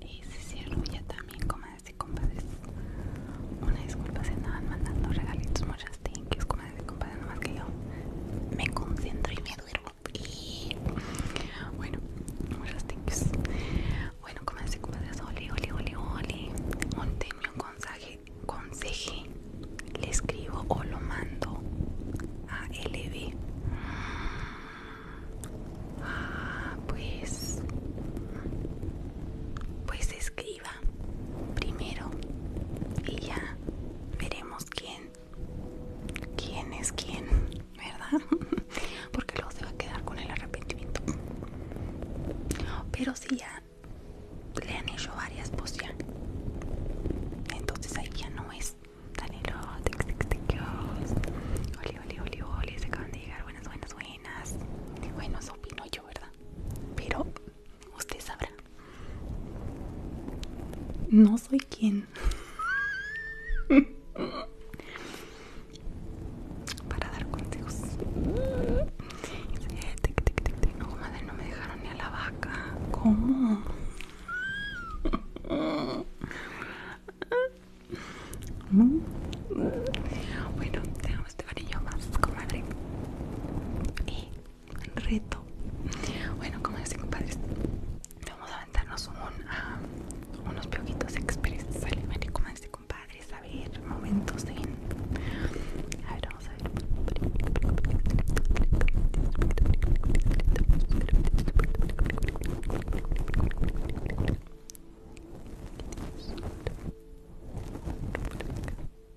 Y si ya ya también, como y compadres, una disculpa si andaban mandando regalitos, muchas thank yous, compadre, no más que yo me concentro y me duermo. Y bueno, muchas thank Bueno, Bueno, comadre, compadres, oli, oli, oli, oli. tengo un consejo conseje, le escribo o lo mando a LB. Ah, pues, pues es que primero y ya veremos quién quién es quién verdad porque luego se va a quedar con el arrepentimiento pero si ya le han hecho varias pues entonces ahí ya no es tan tic que oli oli se acaban de llegar buenas buenas buenas bueno eso opino yo verdad pero usted sabrá. No soy quien para dar consejos. No, madre, no me dejaron ni a la vaca. ¿Cómo? Bueno, tenemos este varillo más, comadre. Y reto bueno como dice compadres vamos a aventarnos un, ah, unos piojitos express sale como dice compadres a ver momentos de a ver vamos a ver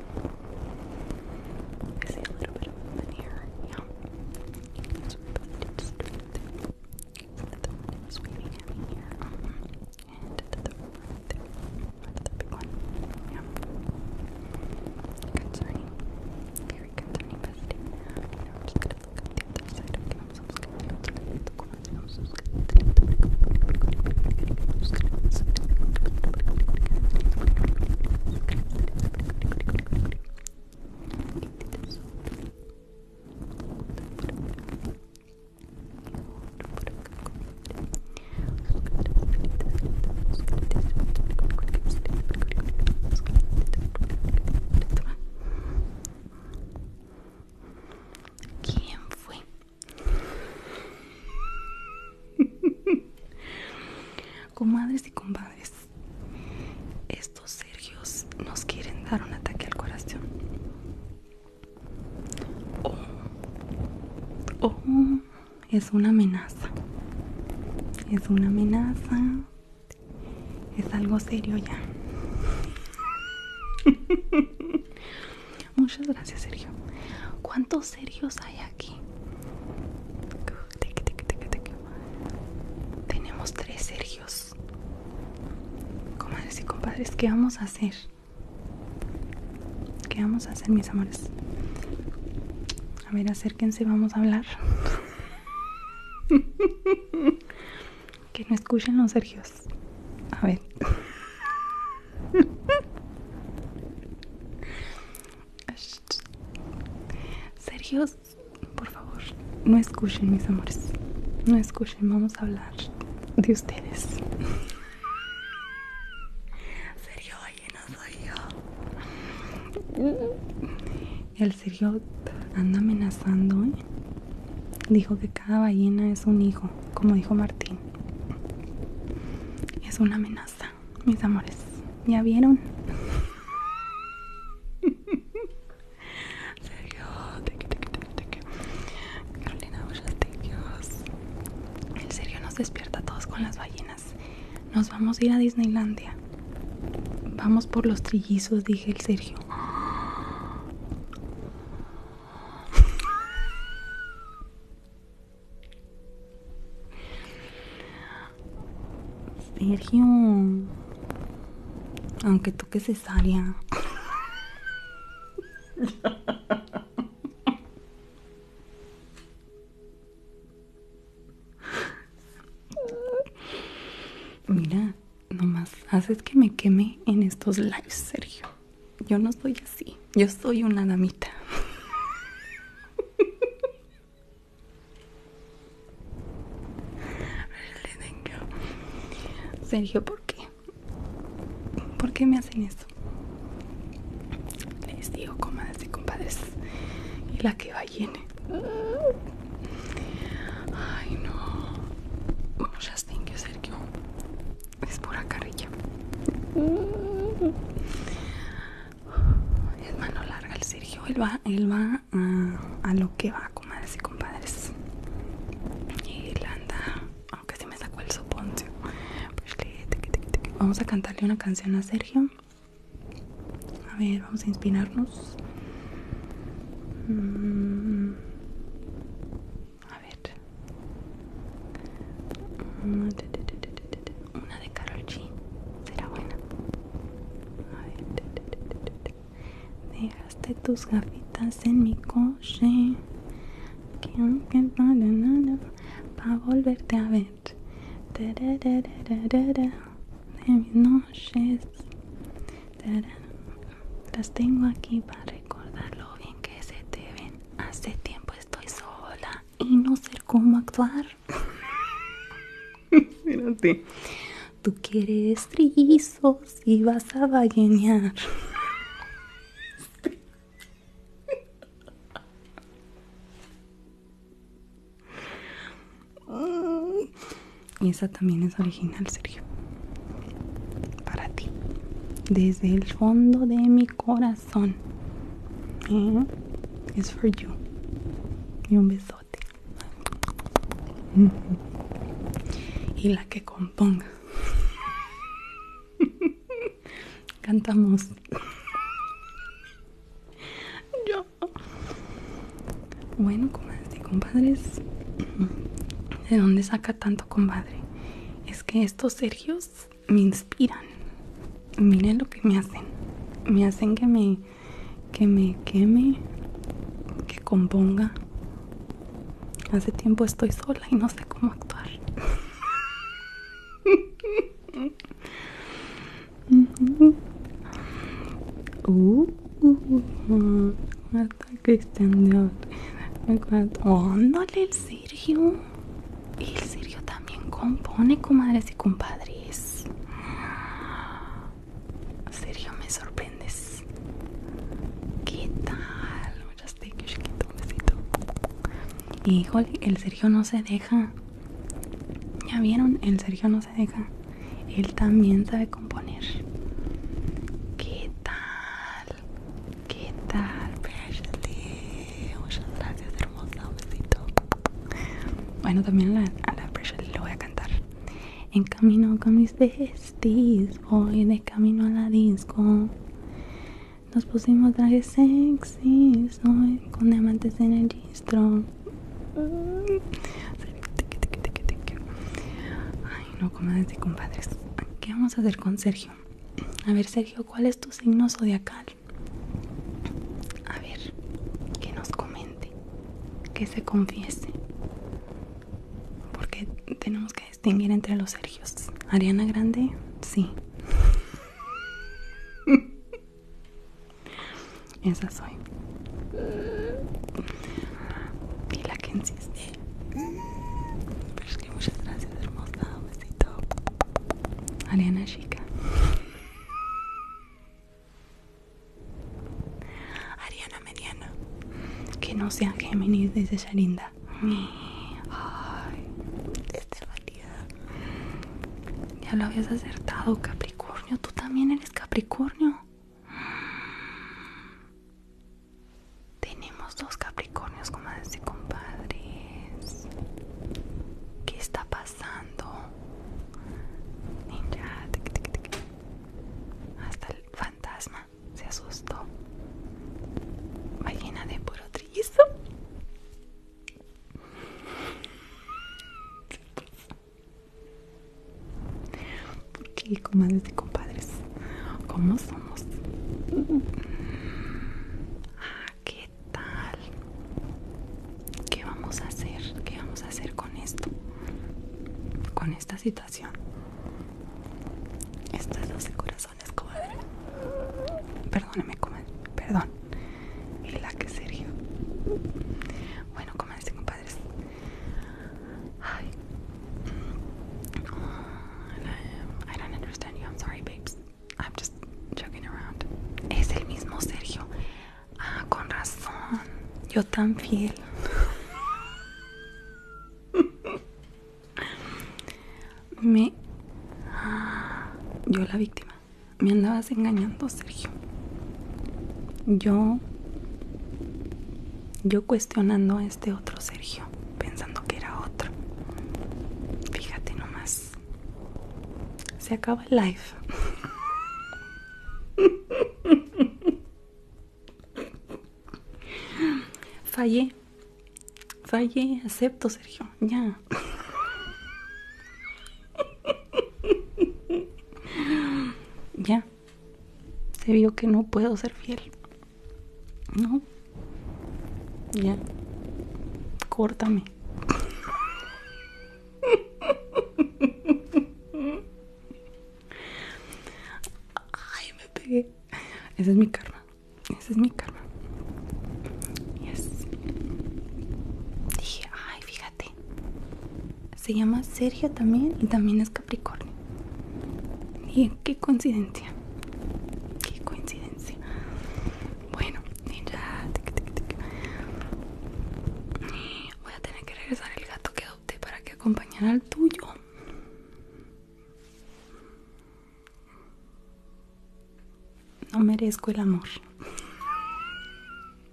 I see a little bit of movement here. Yeah. That's what I just do. the one was waving at here. and the one right there. big one. Yeah. Concerning. Very concerning, bestie. You know, I'm just gonna look at the other side. I'm so scared. I'm so scared. I'm ¿Quién fue? Comadres y compadres, estos Sergios nos quieren dar un ataque al corazón. Oh, oh es una amenaza. Es una amenaza. Es algo serio ya. Muchas gracias, Sergio. ¿Cuántos Sergios hay aquí. Tenemos tres Sergios. Comadres y compadres, ¿qué vamos a hacer? ¿Qué vamos a hacer, mis amores? A ver, acérquense, vamos a hablar. que no escuchen los Sergios. A ver. Sergio, por favor, no escuchen mis amores. No escuchen, vamos a hablar de ustedes. Sergio, ballena soy yo. El Sergio anda amenazando. ¿eh? Dijo que cada ballena es un hijo, como dijo Martín. Es una amenaza mis amores. ¿Ya vieron? Sergio, Carolina, El Sergio nos despierta a todos con las ballenas. Nos vamos a ir a Disneylandia. Vamos por los trillizos, dije el Sergio. Sergio, aunque toque cesárea. Mira, nomás haces que me queme en estos lives, Sergio. Yo no soy así, yo soy una damita. Sergio, ¿por qué? ¿Por qué me hacen eso? Les digo, comadre, y compadres. Y la que va llena. Ay, no. Muchas gracias, Sergio. Es pura carrilla es mano larga el Sergio, él va, él va ah, a, lo que va, comadres y compadres. Y él anda, aunque sí me sacó el soponcio. Pues vamos a cantarle una canción a Sergio. A ver, vamos a inspirarnos. Mm. A ver. Mm de Carol G. Será buena. Dejaste tus gafitas en mi coche. Para volverte a ver. De mis noches. Las tengo aquí para recordar lo bien que se te ven. Hace tiempo estoy sola y no sé cómo actuar. Tú quieres rizos y vas a ballenear. Y esa también es original, Sergio. Para ti. Desde el fondo de mi corazón. Son, Es for you. Y un besote. Y la que componga. Cantamos. Yo. Bueno, cómo compadres. ¿De dónde saca tanto compadre? Es que estos Sergios me inspiran. Miren lo que me hacen. Me hacen que me que me queme, que componga. Hace tiempo estoy sola y no sé cómo actuar. el Sergio el Sergio también compone, comadres y compadres. Sergio, me sorprendes. ¿Qué tal? Un besito. Híjole, el Sergio no se deja. ¿Ya vieron? El Sergio no se deja. Él también sabe componer. ¿Qué tal? ¿Qué tal, Muchas gracias, hermosa. Bueno, también a la, presa le voy a cantar. En camino con mis vestidos voy de camino a la disco. Nos pusimos trajes sexys Hoy con diamantes en el registro. Ay, no, comadres y compadres. ¿Qué vamos a hacer con Sergio? A ver, Sergio, ¿cuál es tu signo zodiacal? A ver, que nos comente, que se confiese. Porque tenemos que distinguir entre los Sergios. Ariana Grande, sí. Esa soy. Y la que insiste. muchas gracias, hermosa. Un besito. Ariana Chica. Ariana Mediana. Que no sea Géminis, dice Sharinda, Ay, desde valida. Ya lo habías acertado, Capricornio. Tú también eres Capricornio. Tenemos dos Capricornios, como y compadres. ¿Qué está pasando? pasando ninja hasta el fantasma se asustó ballena de puro ¿por qué comadres y compadres ¿Cómo somos mm. ¿Qué tal? ¿Qué vamos a hacer? ¿Qué vamos a hacer con esto? Con esta situación. Estas 12 corazones, comadre. Perdóname, comadre. Perdón. Y la que Sergio. Bueno, comadres compadres. Ay. Mm, I don't understand you. I'm sorry, babes. I'm just joking around. Es el mismo Sergio. Ah, con razón. Yo tan fiel. Me... Ah, yo la víctima. Me andabas engañando, Sergio. Yo... Yo cuestionando a este otro Sergio, pensando que era otro. Fíjate nomás. Pues, se acaba el live. Fallé, fallé, acepto Sergio, ya. ya, se vio que no puedo ser fiel. No, ya, córtame. Ay, me pegué. Esa es mi karma. Esa es mi karma. Yes. Dije, ay, fíjate. Se llama Sergio también y también es Capricornio. Y qué coincidencia. Qué coincidencia. Bueno, mira. Voy a tener que regresar el gato que adopté para que acompañara al tuyo. No merezco el amor.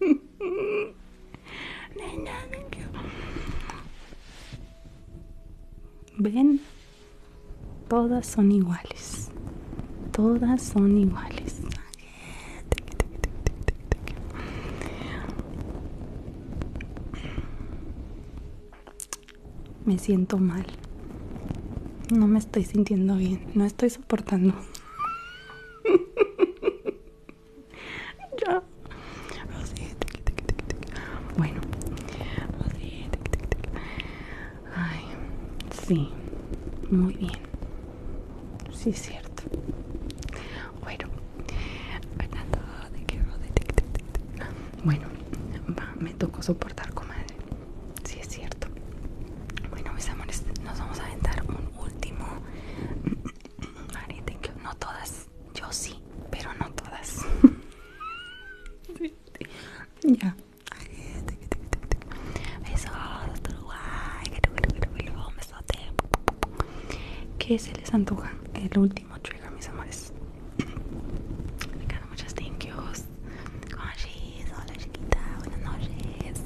Ven, todas son iguales. Todas son iguales. Me siento mal. No me estoy sintiendo bien. No estoy soportando. Bueno. Sí. Muy bien si es cierto. Bueno, bueno, me tocó soportar, comadre. si es cierto. Bueno, mis amores, nos vamos a aventar un último No todas, yo sí, pero no todas. ya. Qué que se les antoja el último trigger mis amores me quedan muchas thank yous hola chiquita buenas noches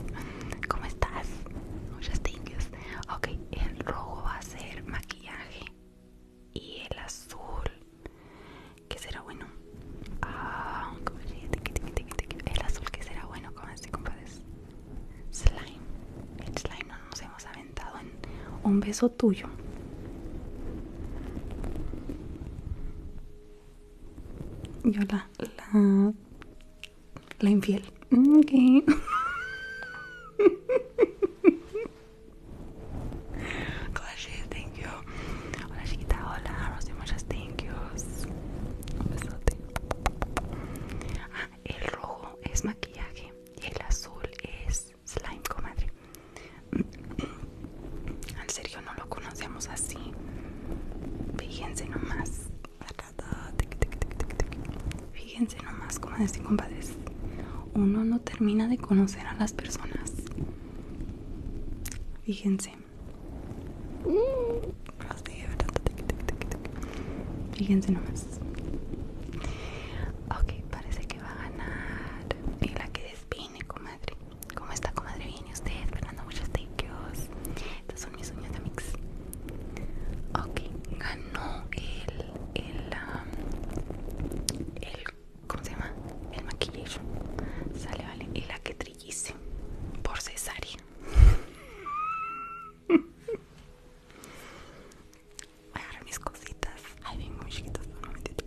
¿cómo estás? Muchas thank yous ok el rojo va a ser maquillaje y el azul que será bueno ah, el azul que será bueno ¿Cómo así compadres slime. El slime nos hemos aventado en un beso tuyo. y la, la, la infiel. ok gracias, thank you. Hola chiquita, hola, Rosy, muchas thank you Un besote. Ah, el rojo es maquillaje y el azul es slime, comadre. Mm. Al serio no lo conocemos así. Fíjense nomás. Fíjense nomás, como y compadres. Uno no termina de conocer a las personas. Fíjense. Fíjense nomás. Ok, parece que va a ganar. Y la que despine, comadre. ¿Cómo está, comadre? Bien, usted, Fernando, muchos tequeos. Estos son mis sueños de mix. Ok, ganó el. el. Um, el ¿Cómo se llama? El maquillaje. Sale, vale. Y la que trillice por cesárea. Voy a agarrar mis cositas. Ay, vengo muy chiquitas por un momentito.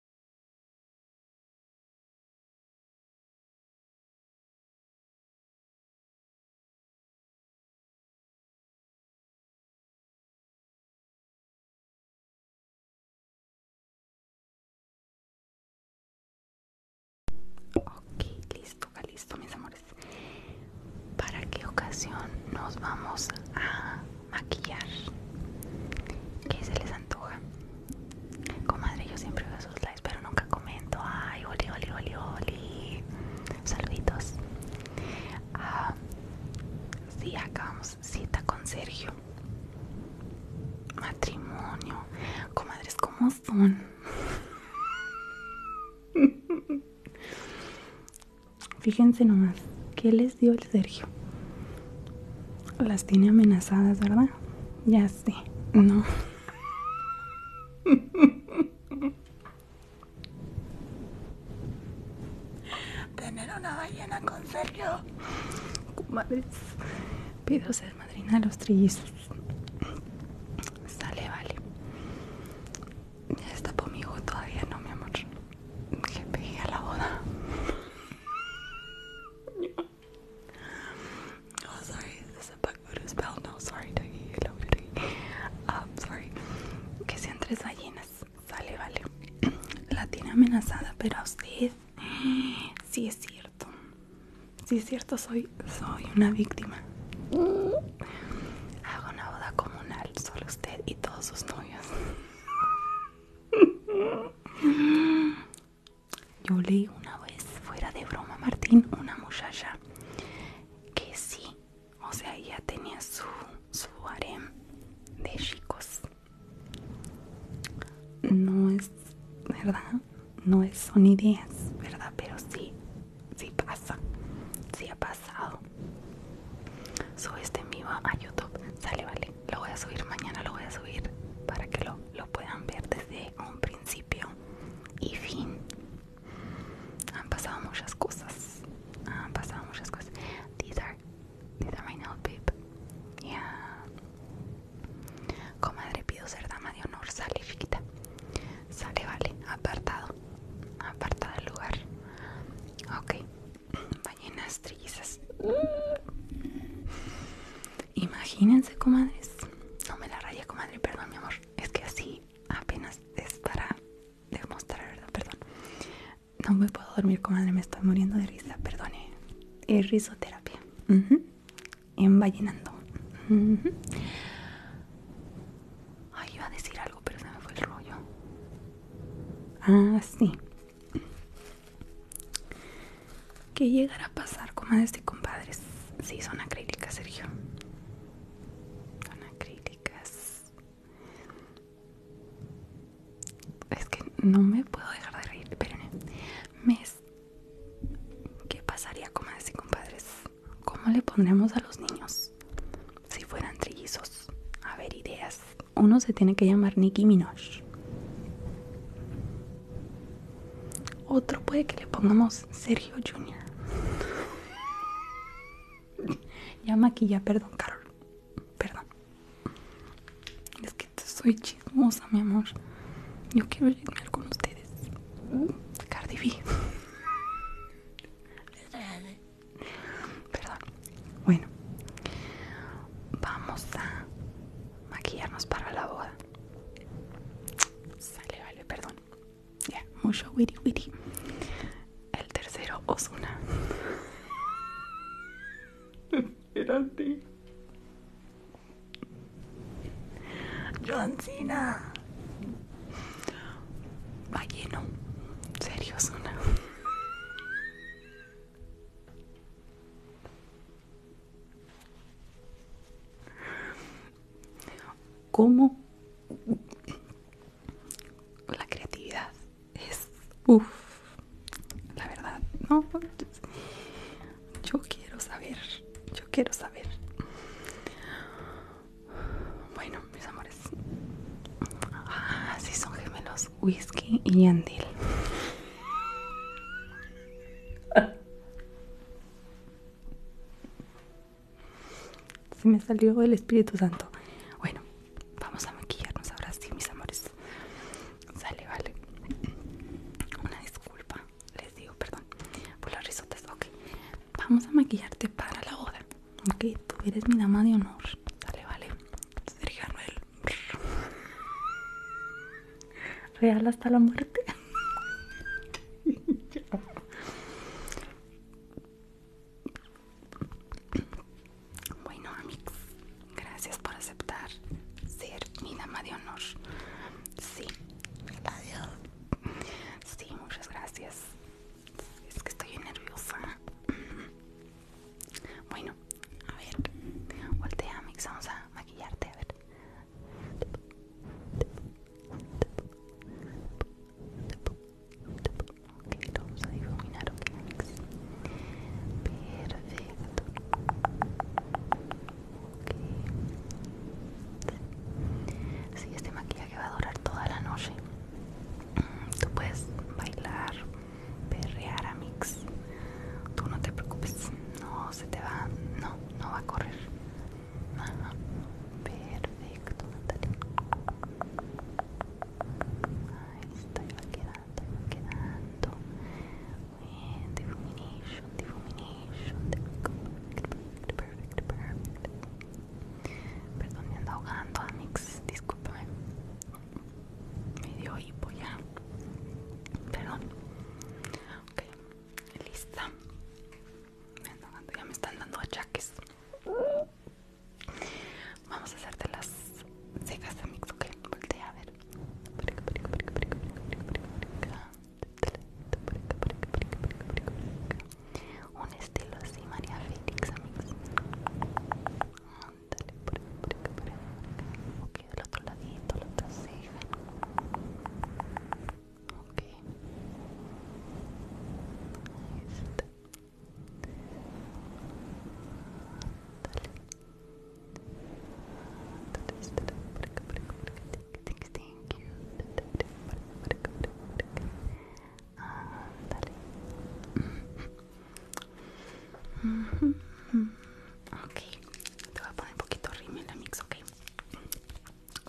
Ok, listo, listo mis amores. ¿Para qué ocasión nos vamos a maquillar? ¿Qué se les antoja? Comadre, yo siempre veo sus likes, pero nunca comento. Ay, oli, oli, oli, oli. Saluditos. Ah, sí, acabamos. cita con Sergio. Matrimonio. Comadres, ¿cómo son? Fíjense nomás, ¿qué les dio el Sergio? Las tiene amenazadas, ¿verdad? Ya Sí, este. no. Tener una ballena con Sergio. Madre. Pido ser madrina de los trillizos. Sale, vale. Ya está conmigo todavía, no, mi amor. Que pegué a la boda. Oh, sorry, this is a bug No, sorry, you um, sorry. Que sean tres ballenas. Sale, vale. La tiene amenazada, pero a usted. Sí, es cierto. Sí, es cierto, soy, soy una víctima. Hago una boda comunal, solo usted y todos sus novios. Yo leí una vez, fuera de broma, Martín, una muchacha que sí, o sea, ella tenía su, su harem de chicos. No es, ¿verdad? No es, son ideas, ¿verdad? Pero sí, sí pasa, sí ha pasado. Sube este en vivo a YouTube, sale, vale. Lo voy a subir mañana, lo voy a subir para que lo lo puedan ver desde un principio y fin han pasado muchas cosas han pasado muchas cosas these are these are my note babe yeah comadre pido ser dama de honor sale chiquita sale vale apartado apartado del lugar ok ballenas trillizas Imagínense, comadres. No me la raya, comadre, perdón, mi amor. Es que así apenas es para demostrar, ¿verdad? Perdón. No me puedo dormir, comadre, me estoy muriendo de risa, perdone. Es risoterapia. Envallenando. Ay, iba a decir algo, pero se me fue el rollo. Ah, sí. ¿Qué llegará a pasar, comadres este y compadres? Sí, son acrílicas, Sergio. Son acrílicas. Es que no me puedo dejar de reír. Pero, es ¿Qué pasaría, comadres este y compadres? ¿Cómo le pondremos a los niños si fueran trillizos? A ver, ideas. Uno se tiene que llamar Nicky Minaj. Otro puede que le pongamos Sergio Jr. ya maquilla, perdón, Carol. Perdón. Es que soy chismosa, mi amor. Yo quiero chismear con ustedes. Cardi B. Perdón. Bueno. Vamos a maquillarnos para la boda. Sale, vale, perdón. Ya, mucho witty witty. El tercero, Osuna. Espérate. John Cena. Va lleno. Serio, Osuna. Cómo la creatividad es uff, la verdad, no. Yo quiero saber, yo quiero saber. Bueno, mis amores, Así ah, son gemelos, whisky y andil. Se me salió el Espíritu Santo. Bueno, vamos a maquillarnos ahora sí, mis amores. Sale, vale. Una disculpa, les digo, perdón, por las risotas. Ok, vamos a maquillarte para la boda. Ok, tú eres mi dama de honor. Sale, vale. Sergio real hasta la muerte. Bueno, Amix, gracias por aceptar ser mi dama de honor. Sí, adiós. Sí, muchas gracias. Es que estoy nerviosa. Bueno, a ver, voltea, Amix, vamos a maquillarte, a ver. Ok, lo vamos a difuminar, ok, Amix. Perfecto. Ok. Sí, este maquillaje va a durar toda la noche. Mm, tú puedes bailar, perrear a Mix. Tú no te preocupes, no se te va, no, no va a correr. Ajá. Perfecto, Natalia. Ahí está, va quedando, va quedando. Bien, difumination, difumination. perfecto, perfect, perfect. Perdón, me ando ahogando, Amix. Discúlpame. Me dio hipo ya. Perdón. Ok lista ya me están dando achaques vamos a hacerte las cejas amigas, mix ok voltea a ver un estilo así María Félix amigas Ándale, por acá, Ok, del otro ladito, la otra ceja. Ok. Thank you, Ah, dale. Ok, te voy a poner un poquito rímel la mix, ok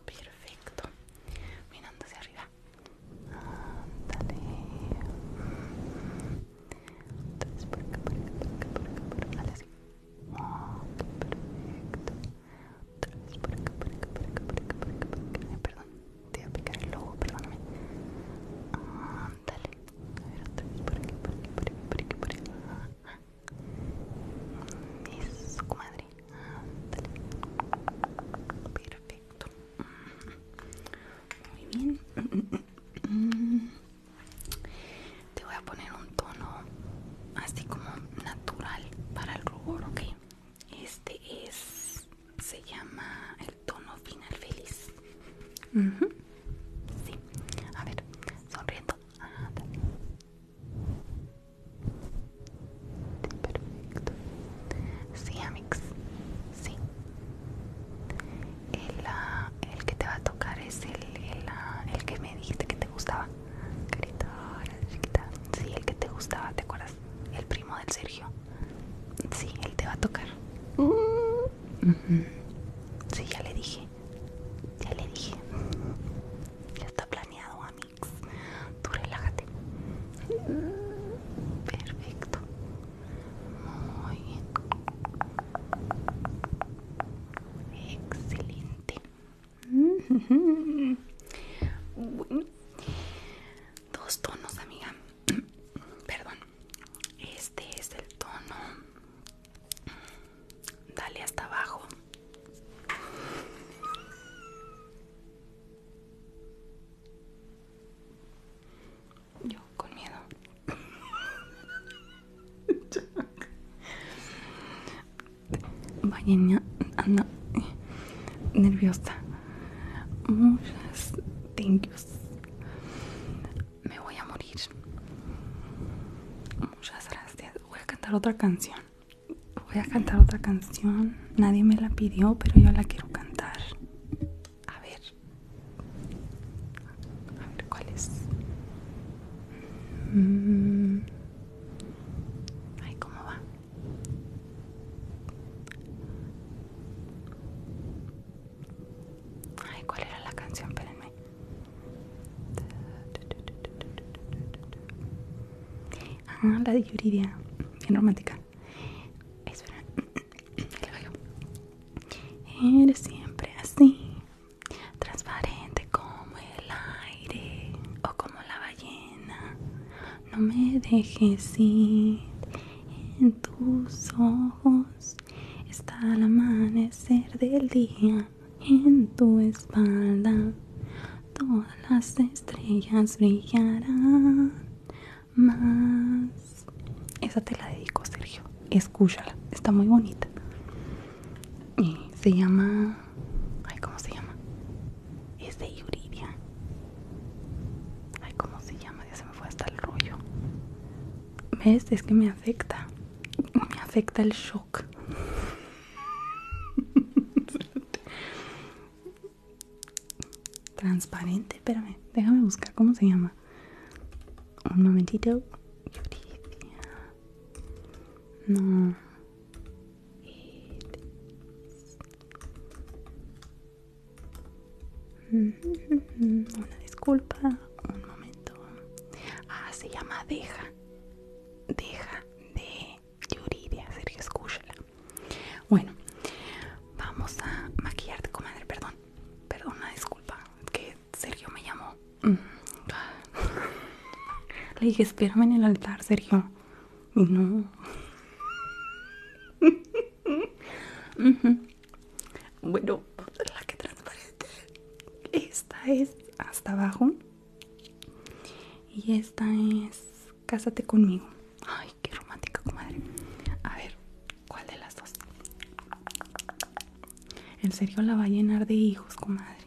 perfecto mirando hacia arriba ándale entonces por acá por acá por acá por acá dale así oh, perfecto entonces por acá por acá por acá por acá perdón te voy a picar el ojo perdóname ándale a ver otra por aquí por aquí por aquí por aquí es comadre. Perfecto. Muy bien. Te voy a poner un tono así como natural para el rubor, ¿ok? Este es, se llama el tono final feliz. Sí, a ver, sonriendo perfecto sí amix sí el, ah, el que te va a tocar es ah, el, que me dijiste que te gustaba carita chiquita sí el que te gustaba te acuerdas el primo del Sergio sí él te va a tocar sí ya le dije ya le dije ya está planeado a Tú relájate. Perfecto. Muy Excelente. Dos tonos, amiga. Perdón. Este es el tono dale hasta abajo yo con miedo Vaya, anda nerviosa. Muchas gracias. Me voy a morir. Muchas gracias. Voy a cantar otra canción. Voy a cantar otra canción. Nadie me la pidió, pero yo la quiero cantar. A ver. A ver cuál es. Mm. Ay, ¿cómo va? Ay, ¿cuál era la canción? Espérenme. Ah, la de Yuridia, bien romántica. Espera, Eres siempre así, transparente como el aire o como la ballena. No me dejes ir. En tus ojos está el amanecer del día en tu espalda todas las estrellas brillarán más. Esa te la dedico, Sergio. Escúchala, está muy bonita. Y se llama. Ay, ¿cómo se llama? Es de Yuridia. Ay, ¿cómo se llama? Ya se me fue hasta el rollo. ¿Ves? Es que me afecta. Me afecta el shock. Transparente, espérame, déjame buscar cómo se llama. Un momentito. No. Una disculpa, un momento. Ah, se llama Deja. Deja de Yuridia, Sergio, escúchala. Bueno, vamos a maquillarte, comadre, perdón. Perdón, una disculpa, que Sergio me llamó. Mm. Le dije, espérame en el altar, Sergio. Y no. Bueno, la que transparente. Esta es hasta abajo. Y esta es Cásate conmigo. Ay, qué romántica, comadre. A ver, ¿cuál de las dos? En serio la va a llenar de hijos, comadre.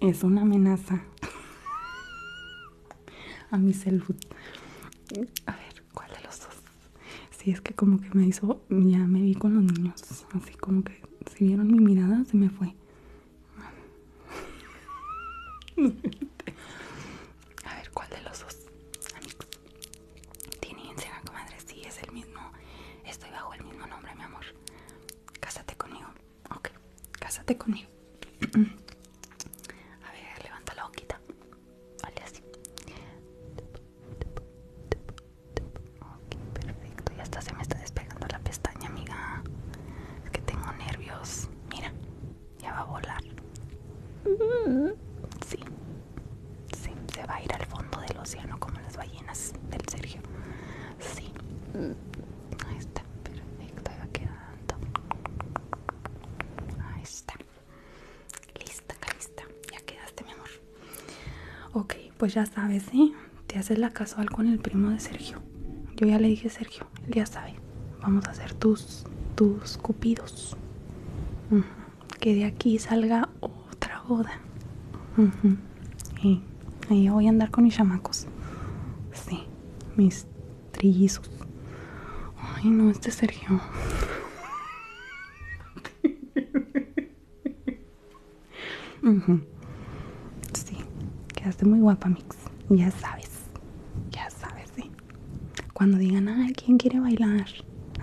Es una amenaza a mi salud. A ver, ¿cuál de los dos? Si es que como que me hizo ya me vi con los niños, así como que si vieron mi mirada se me fue. A ver, ¿cuál de los dos? Amigos. Tiene Instagram, comadre, sí, es el mismo. Estoy bajo el mismo nombre, mi amor. Cásate conmigo. Ok, cásate conmigo. A ver, levanta la boquita. Vale, así. Ok, perfecto. Ya está, se me está despegando la pestaña, amiga. Es que tengo nervios. Mira, ya va a volar. Sí, sí, se va a ir al fondo del océano como las ballenas del Sergio. Sí. Ahí está, perfecto, ahí va quedando. Ahí está. Lista, lista. Ya quedaste, mi amor. Ok, pues ya sabes, ¿sí? Te haces la casual con el primo de Sergio. Yo ya le dije Sergio, ya sabe. Vamos a hacer tus, tus cupidos. Que de aquí salga otra boda. y ahí voy a andar con mis chamacos. Sí, mis trillizos. Ay, no, este Sergio. Sí, quedaste muy guapa, Mix. Ya sabes, ya sabes, sí. Cuando digan, nada ¿quién quiere bailar?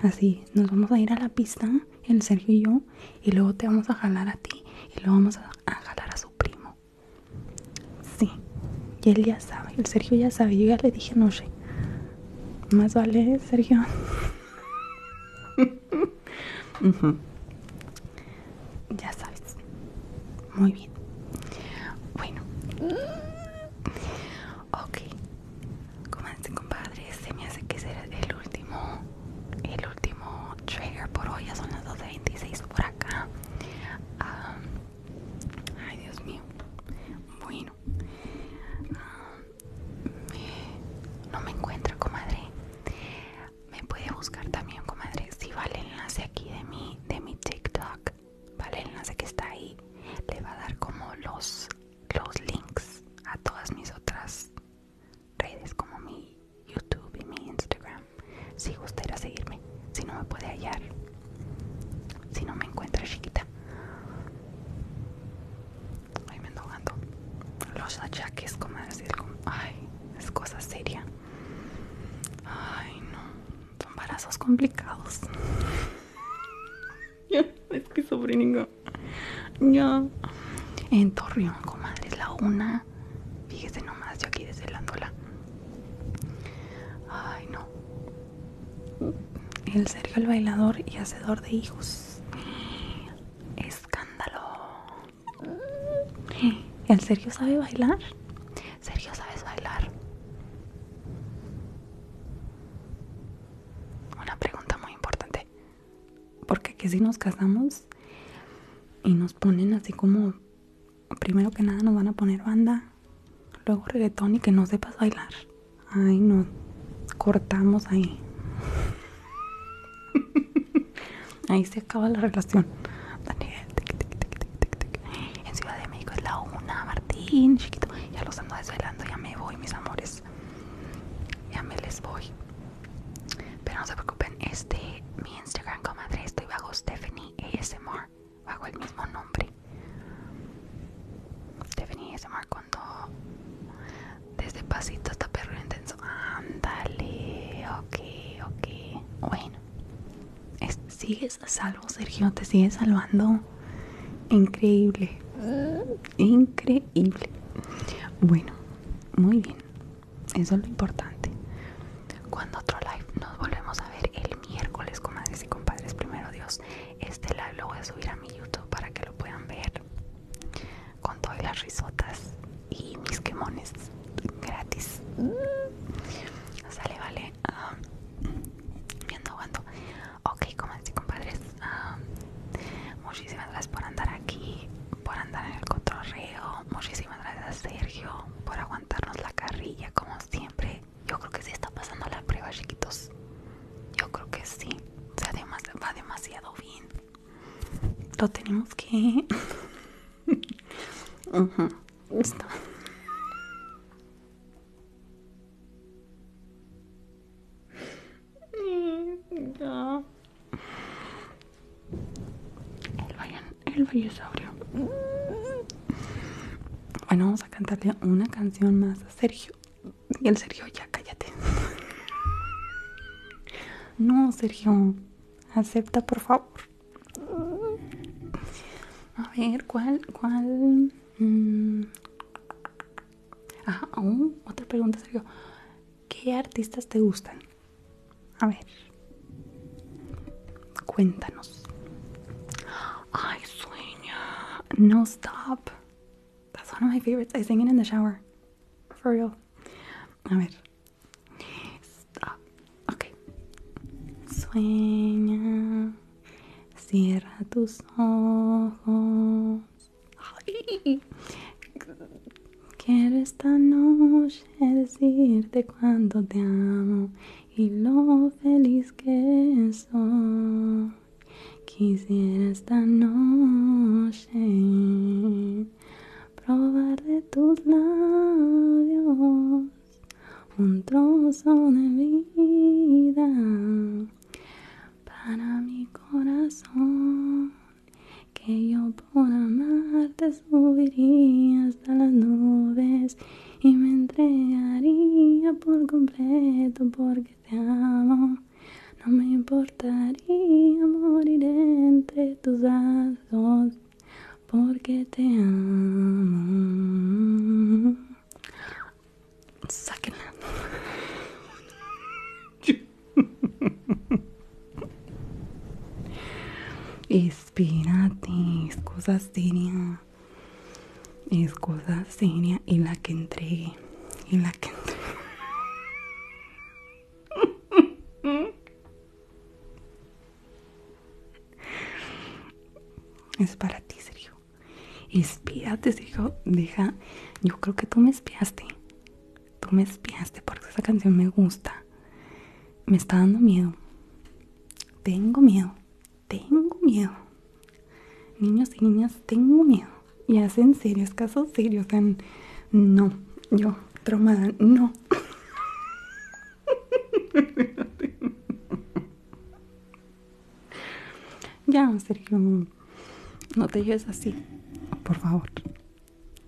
Así, nos vamos a ir a la pista, el Sergio y yo, y luego te vamos a jalar a ti, y luego vamos a, a jalar a su primo. Sí, y él ya sabe, el Sergio ya sabe, yo ya le dije, no sé. Más vale, Sergio. Ya sabes. Muy bien. Bueno. Mm, ok. Comanse, compadre. Se me hace que será el último. El último trigger por hoy. Ya son las 26 por acá. ay, Dios mío. Bueno. Eh, no me encuentro, comadre. Me puede buscar también, comadre. Si vale el enlace aquí de mi, de mi TikTok, vale el enlace que está ahí. Le va a dar como los, los links a todas mis otras redes, como mi YouTube y mi Instagram. Si usted seguirme, si no me puede hallar, si no me encuentra chiquita. Ay, me Los achaques, como decir, como, ay, es cosa seria. Ay, no, son embarazos complicados. Ya, es que sofri Ya. En Torreón, comadre, es la una. Fíjese nomás, yo aquí desvelándola. Ay, no. El serio el bailador y hacedor de hijos. Escándalo. ¿El Sergio sabe bailar? ¿Sergio sabes bailar? Una pregunta muy importante. Porque que si nos casamos y nos ponen así como primero que nada nos van a poner banda, luego reggaetón y que no sepas bailar. Ay, nos cortamos ahí. Ahí se acaba la relación. Daniel, En Ciudad de México es la una, Martín, chiquito. Ya los ando desvelando, ya me voy, mis amores. Ya me les voy. Pero no se preocupen, este, mi Instagram, comadre, estoy bajo Stephanie ASMR, bajo el mismo nombre. Stephanie ASMR cuando desde pasito hasta perro intenso. Ándale, ok, ok. Bueno, sigues salvo, Sergio, te sigues salvando. Increíble, increíble. Bueno, muy bien. Eso es lo importante. Cuando otro live nos volvemos a ver el miércoles, comadres y compadres, primero Dios. Este live lo voy a subir a mi YouTube para que lo puedan ver con todas las risotas y mis quemones gratis. Mm. Sale, vale. viendo ah, aguanto ok como Ok, compadres. Ah, muchísimas gracias por andar aquí, por andar en el reo Muchísimas gracias a Sergio por aguantarnos la carrilla como siempre. Yo creo que sí está pasando la prueba, chiquitos. Yo creo que sí. va demasiado bien lo tenemos que El, vayan, Bueno, vamos a cantarle una canción más a Sergio. Y el Sergio, ya cállate. No, Sergio. Acepta, por favor. A ver, ¿cuál? ¿Cuál? ajá mm. Ah, otra pregunta, Sergio. ¿Qué artistas te gustan? A ver. Cuéntanos. Ay, sueño! No stop. That's one of my favorites. I sing it in the shower. For real. A ver, Stop. Sueña. Cierra tus ojos. Quiero esta noche decirte cuánto te amo y lo feliz que soy. Quisiera esta noche probar de tus labios un trozo de vida para mi corazón que yo por amarte subiría hasta las nubes y me entregaría por completo porque te amo no me importaría y moriré entre tus brazos porque te amo. Sáquenla. cosas es cosa seria. Es cosa seria y la que entregue. Y la que es para ti, Sergio. Espíate, Sergio. Deja. Yo creo que tú me espiaste. Tú me espiaste porque esa canción me gusta. Me está dando miedo. Tengo miedo. Tengo miedo. Niños y niñas, tengo miedo. Y hacen serios casos serios. No, yo, traumada, no. ya, Sergio, no te lleves así, por favor.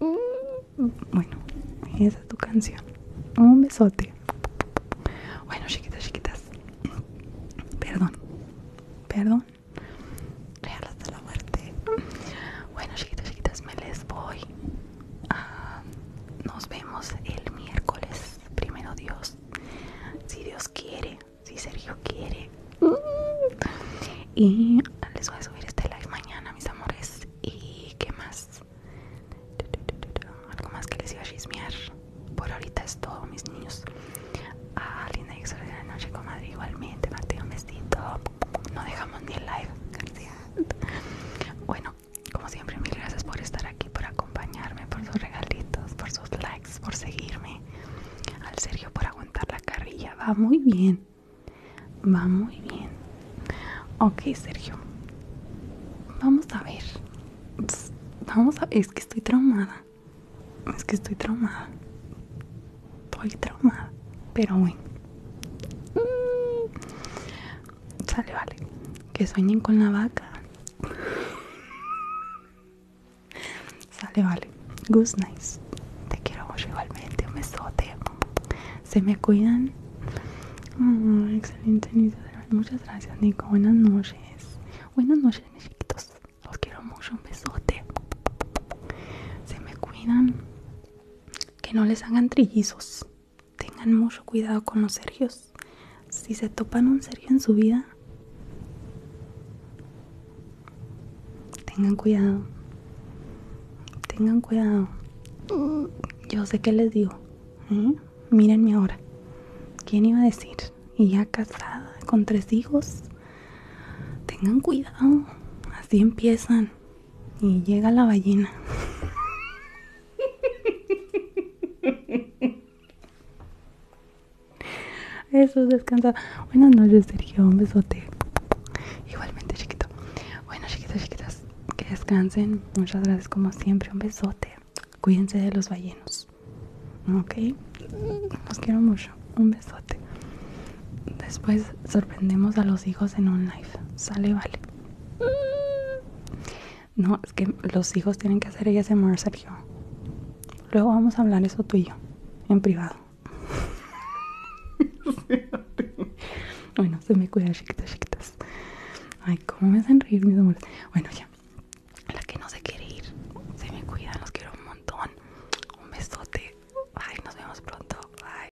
Bueno, esa es tu canción. Un besote. Bueno, chiquitas, chiquitas. Perdón. Perdón. Real de la muerte. Bueno, chiquitos, chiquitas, me les voy. nos vemos el miércoles. Primero Dios. Si Dios quiere, si Sergio quiere. Y les voy a subir este live mañana, mis amores. ¿Y qué más? Algo más que les iba a chismear. Por ahorita es todo, mis niños. A ah, linda y la noche, comadre. Igualmente, Mateo, un besito no dejamos ni el live García. bueno como siempre mil gracias por estar aquí por acompañarme por sus regalitos por sus likes por seguirme al Sergio por aguantar la carrilla va muy bien va muy bien ok Sergio vamos a ver vamos a es que estoy traumada es que estoy traumada estoy traumada, pero bueno. Mm. Sale, vale. Que sueñen con la vaca. Sale, vale. Good nice. Te quiero mucho igualmente. Un besote. Se me cuidan. Mm, excelente Muchas gracias, Nico. Buenas noches. Buenas noches, mis chiquitos. Los quiero mucho. Un besote. Se me cuidan que no les hagan trillizos. Tengan mucho cuidado con los sergios. Si se topan un sergio en su vida, tengan cuidado. Tengan cuidado. Yo sé qué les digo. ¿eh? Mírenme ahora. ¿Quién iba a decir? Y ya casada, con tres hijos. Tengan cuidado. Así empiezan. Y llega la ballena. Eso, descansa. Buenas noches, Sergio. Un besote. Igualmente, chiquito. Bueno, chiquitas, chiquitas, que descansen. Muchas gracias, como siempre. Un besote. Cuídense de los ballenos. ¿Ok? Los quiero mucho. Un besote. Después sorprendemos a los hijos en un live. Sale, vale. No, es que los hijos tienen que hacer ellas mar Sergio. Luego vamos a hablar eso tú y yo, en privado. bueno, se me cuida, chiquitas, chiquitas. Ay, cómo me hacen reír mis amores. Bueno, ya. La que no se quiere ir, se me cuidan, los quiero un montón. Un besote. Ay, nos vemos pronto. Bye.